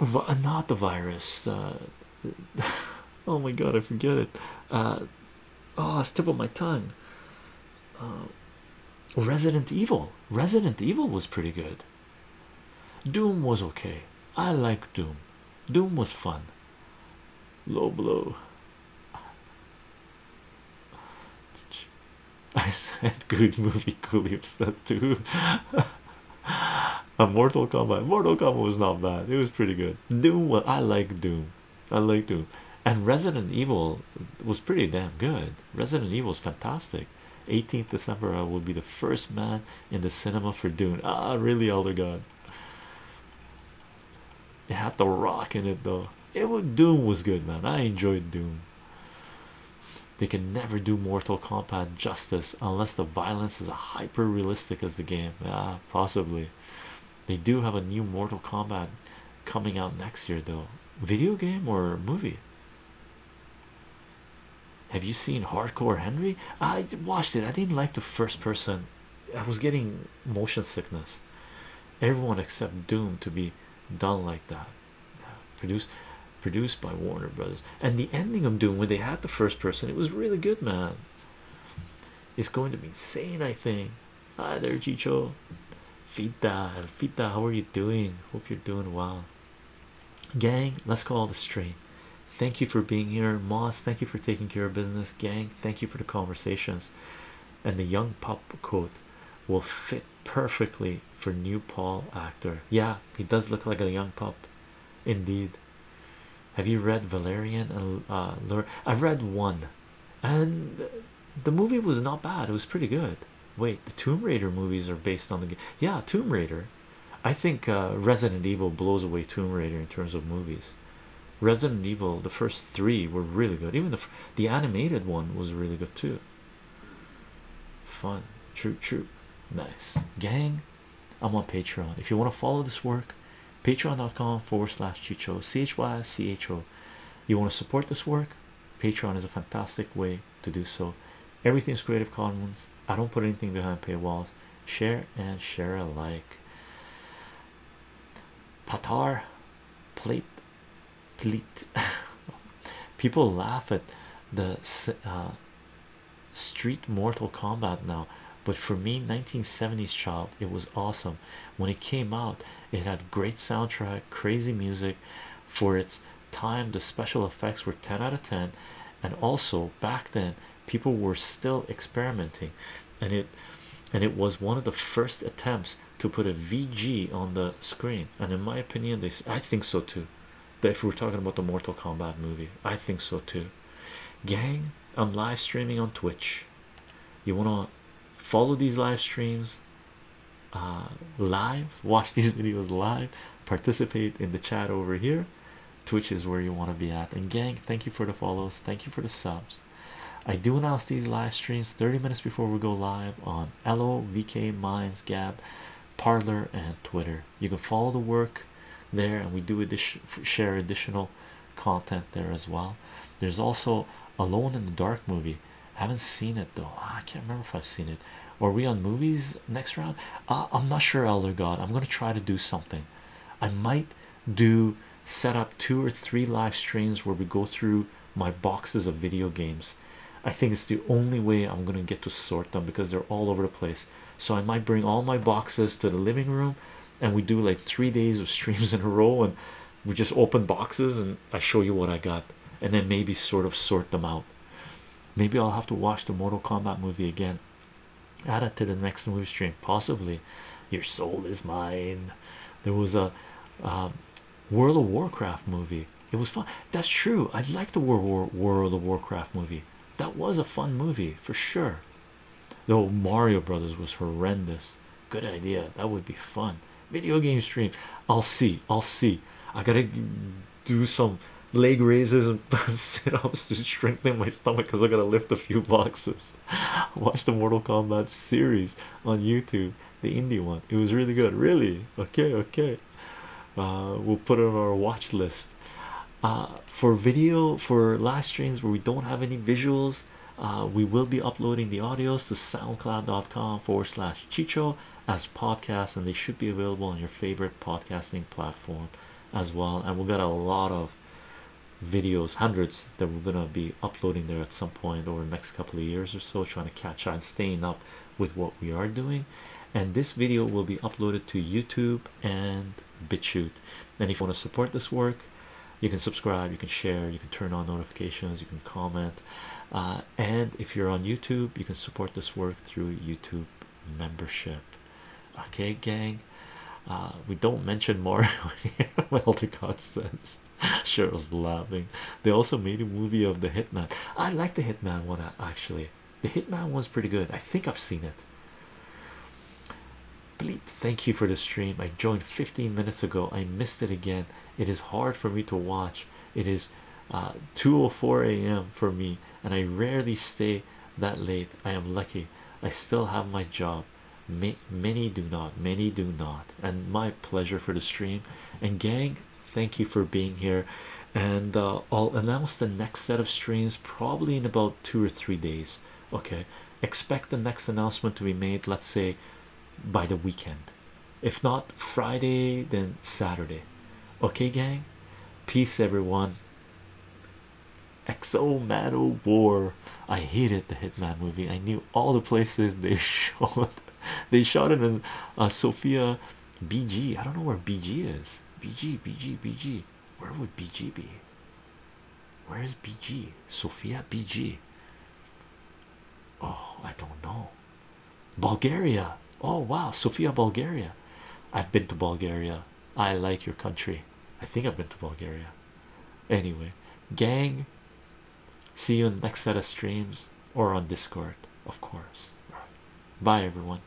uh, not the virus. Uh, oh my god, I forget it. Uh, oh, it's tip my tongue. Resident Evil. Resident Evil was pretty good. Doom was okay. I like Doom. Doom was fun. Low blow. I said good movie, coolly upset too a Mortal Kombat. Mortal Kombat was not bad. It was pretty good. Doom, well, I like Doom. I like Doom. And Resident Evil was pretty damn good. Resident Evil is fantastic. 18th December, I will be the first man in the cinema for Dune. Ah, really, Elder God. It had the rock in it, though. It would Doom was good, man. I enjoyed Doom. They can never do Mortal Kombat justice unless the violence is a high hyper realistic as the game. possibly. They do have a new Mortal Kombat coming out next year, though. Video game or movie? Have you seen Hardcore Henry? I watched it. I didn't like the first person. I was getting motion sickness. Everyone except Doom to be done like that. Produced produced by Warner Brothers. And the ending of doing when they had the first person, it was really good, man. It's going to be insane, I think. Hi there, Chicho. Fita, Fita, how are you doing? Hope you're doing well. Gang, let's call the stream. Thank you for being here, Moss. Thank you for taking care of business, gang. Thank you for the conversations. And the young pup coat will fit perfectly for new Paul actor. Yeah, he does look like a young pup, indeed. Have you read Valerian and uh, I've read one, and the movie was not bad. It was pretty good. Wait, the Tomb Raider movies are based on the game. yeah Tomb Raider. I think uh, Resident Evil blows away Tomb Raider in terms of movies. Resident Evil, the first three were really good. Even the the animated one was really good too. Fun, True. True. nice gang. I'm on Patreon. If you want to follow this work, patreon.com forward slash chicho chycho. You want to support this work? Patreon is a fantastic way to do so. Everything is Creative Commons. I don't put anything behind paywalls. Share and share alike. Patar plate pleat people laugh at the uh, street Mortal Kombat now, but for me, 1970s child, it was awesome when it came out. It had great soundtrack, crazy music for its time. The special effects were 10 out of 10, and also back then, people were still experimenting, and it and it was one of the first attempts to put a VG on the screen. And in my opinion, they I think so too if we're talking about the Mortal Kombat movie, I think so too. Gang, I'm live streaming on Twitch. You want to follow these live streams uh, live, watch these videos live, participate in the chat over here. Twitch is where you want to be at. And, gang, thank you for the follows, thank you for the subs. I do announce these live streams 30 minutes before we go live on LO, VK, Minds, Gab, Parlor, and Twitter. You can follow the work there and we do share additional content there as well there's also alone in the dark movie I haven't seen it though ah, i can't remember if i've seen it are we on movies next round uh, i'm not sure elder god i'm gonna try to do something i might do set up two or three live streams where we go through my boxes of video games i think it's the only way i'm gonna get to sort them because they're all over the place so I might bring all my boxes to the living room and we do like three days of streams in a row and we just open boxes and I show you what I got and then maybe sort of sort them out. Maybe I'll have to watch the Mortal Kombat movie again. Add it to the next movie stream, possibly. Your soul is mine. There was a um, World of Warcraft movie. It was fun. That's true. I like the World World of Warcraft movie. That was a fun movie for sure. The old Mario Brothers was horrendous. Good idea. That would be fun. Video game stream. I'll see. I'll see. I gotta do some leg raises and sit ups to strengthen my stomach because I gotta lift a few boxes. Watch the Mortal Kombat series on YouTube, the indie one. It was really good. Really? Okay, okay. Uh, we'll put it on our watch list. Uh, for video for live streams where we don't have any visuals uh, we will be uploading the audios to soundcloud.com forward slash chicho as podcasts and they should be available on your favorite podcasting platform as well and we've got a lot of videos hundreds that we're gonna be uploading there at some point over the next couple of years or so trying to catch on staying up with what we are doing and this video will be uploaded to youtube and shoot, And if you want to support this work, you can subscribe, you can share, you can turn on notifications, you can comment. Uh, and if you're on YouTube, you can support this work through YouTube membership. Okay, gang. Uh, we don't mention more here. well, to God says. Cheryl's laughing. They also made a movie of the Hitman. I like the Hitman one actually. The Hitman one's pretty good. I think I've seen it. Bleep, thank you for the stream. I joined 15 minutes ago. I missed it again. It is hard for me to watch. It is uh, 2:04 a.m. for me, and I rarely stay that late. I am lucky. I still have my job. many do not. Many do not. And my pleasure for the stream. And gang, thank you for being here. And uh, I'll announce the next set of streams probably in about two or three days okay expect the next announcement to be made let's say by the weekend if not friday then saturday okay gang peace everyone exo metal war i hated the hitman movie i knew all the places they shot they shot it in uh, sofia bg i don't know where bg is bg bg bg where would BG be? Where is BG? Sofia BG. Oh, I don't know. Bulgaria. Oh wow, Sofia, Bulgaria. I've been to Bulgaria. I like your country. I think I've been to Bulgaria. Anyway, gang. See you in the next set of streams or on Discord, of course. Bye everyone.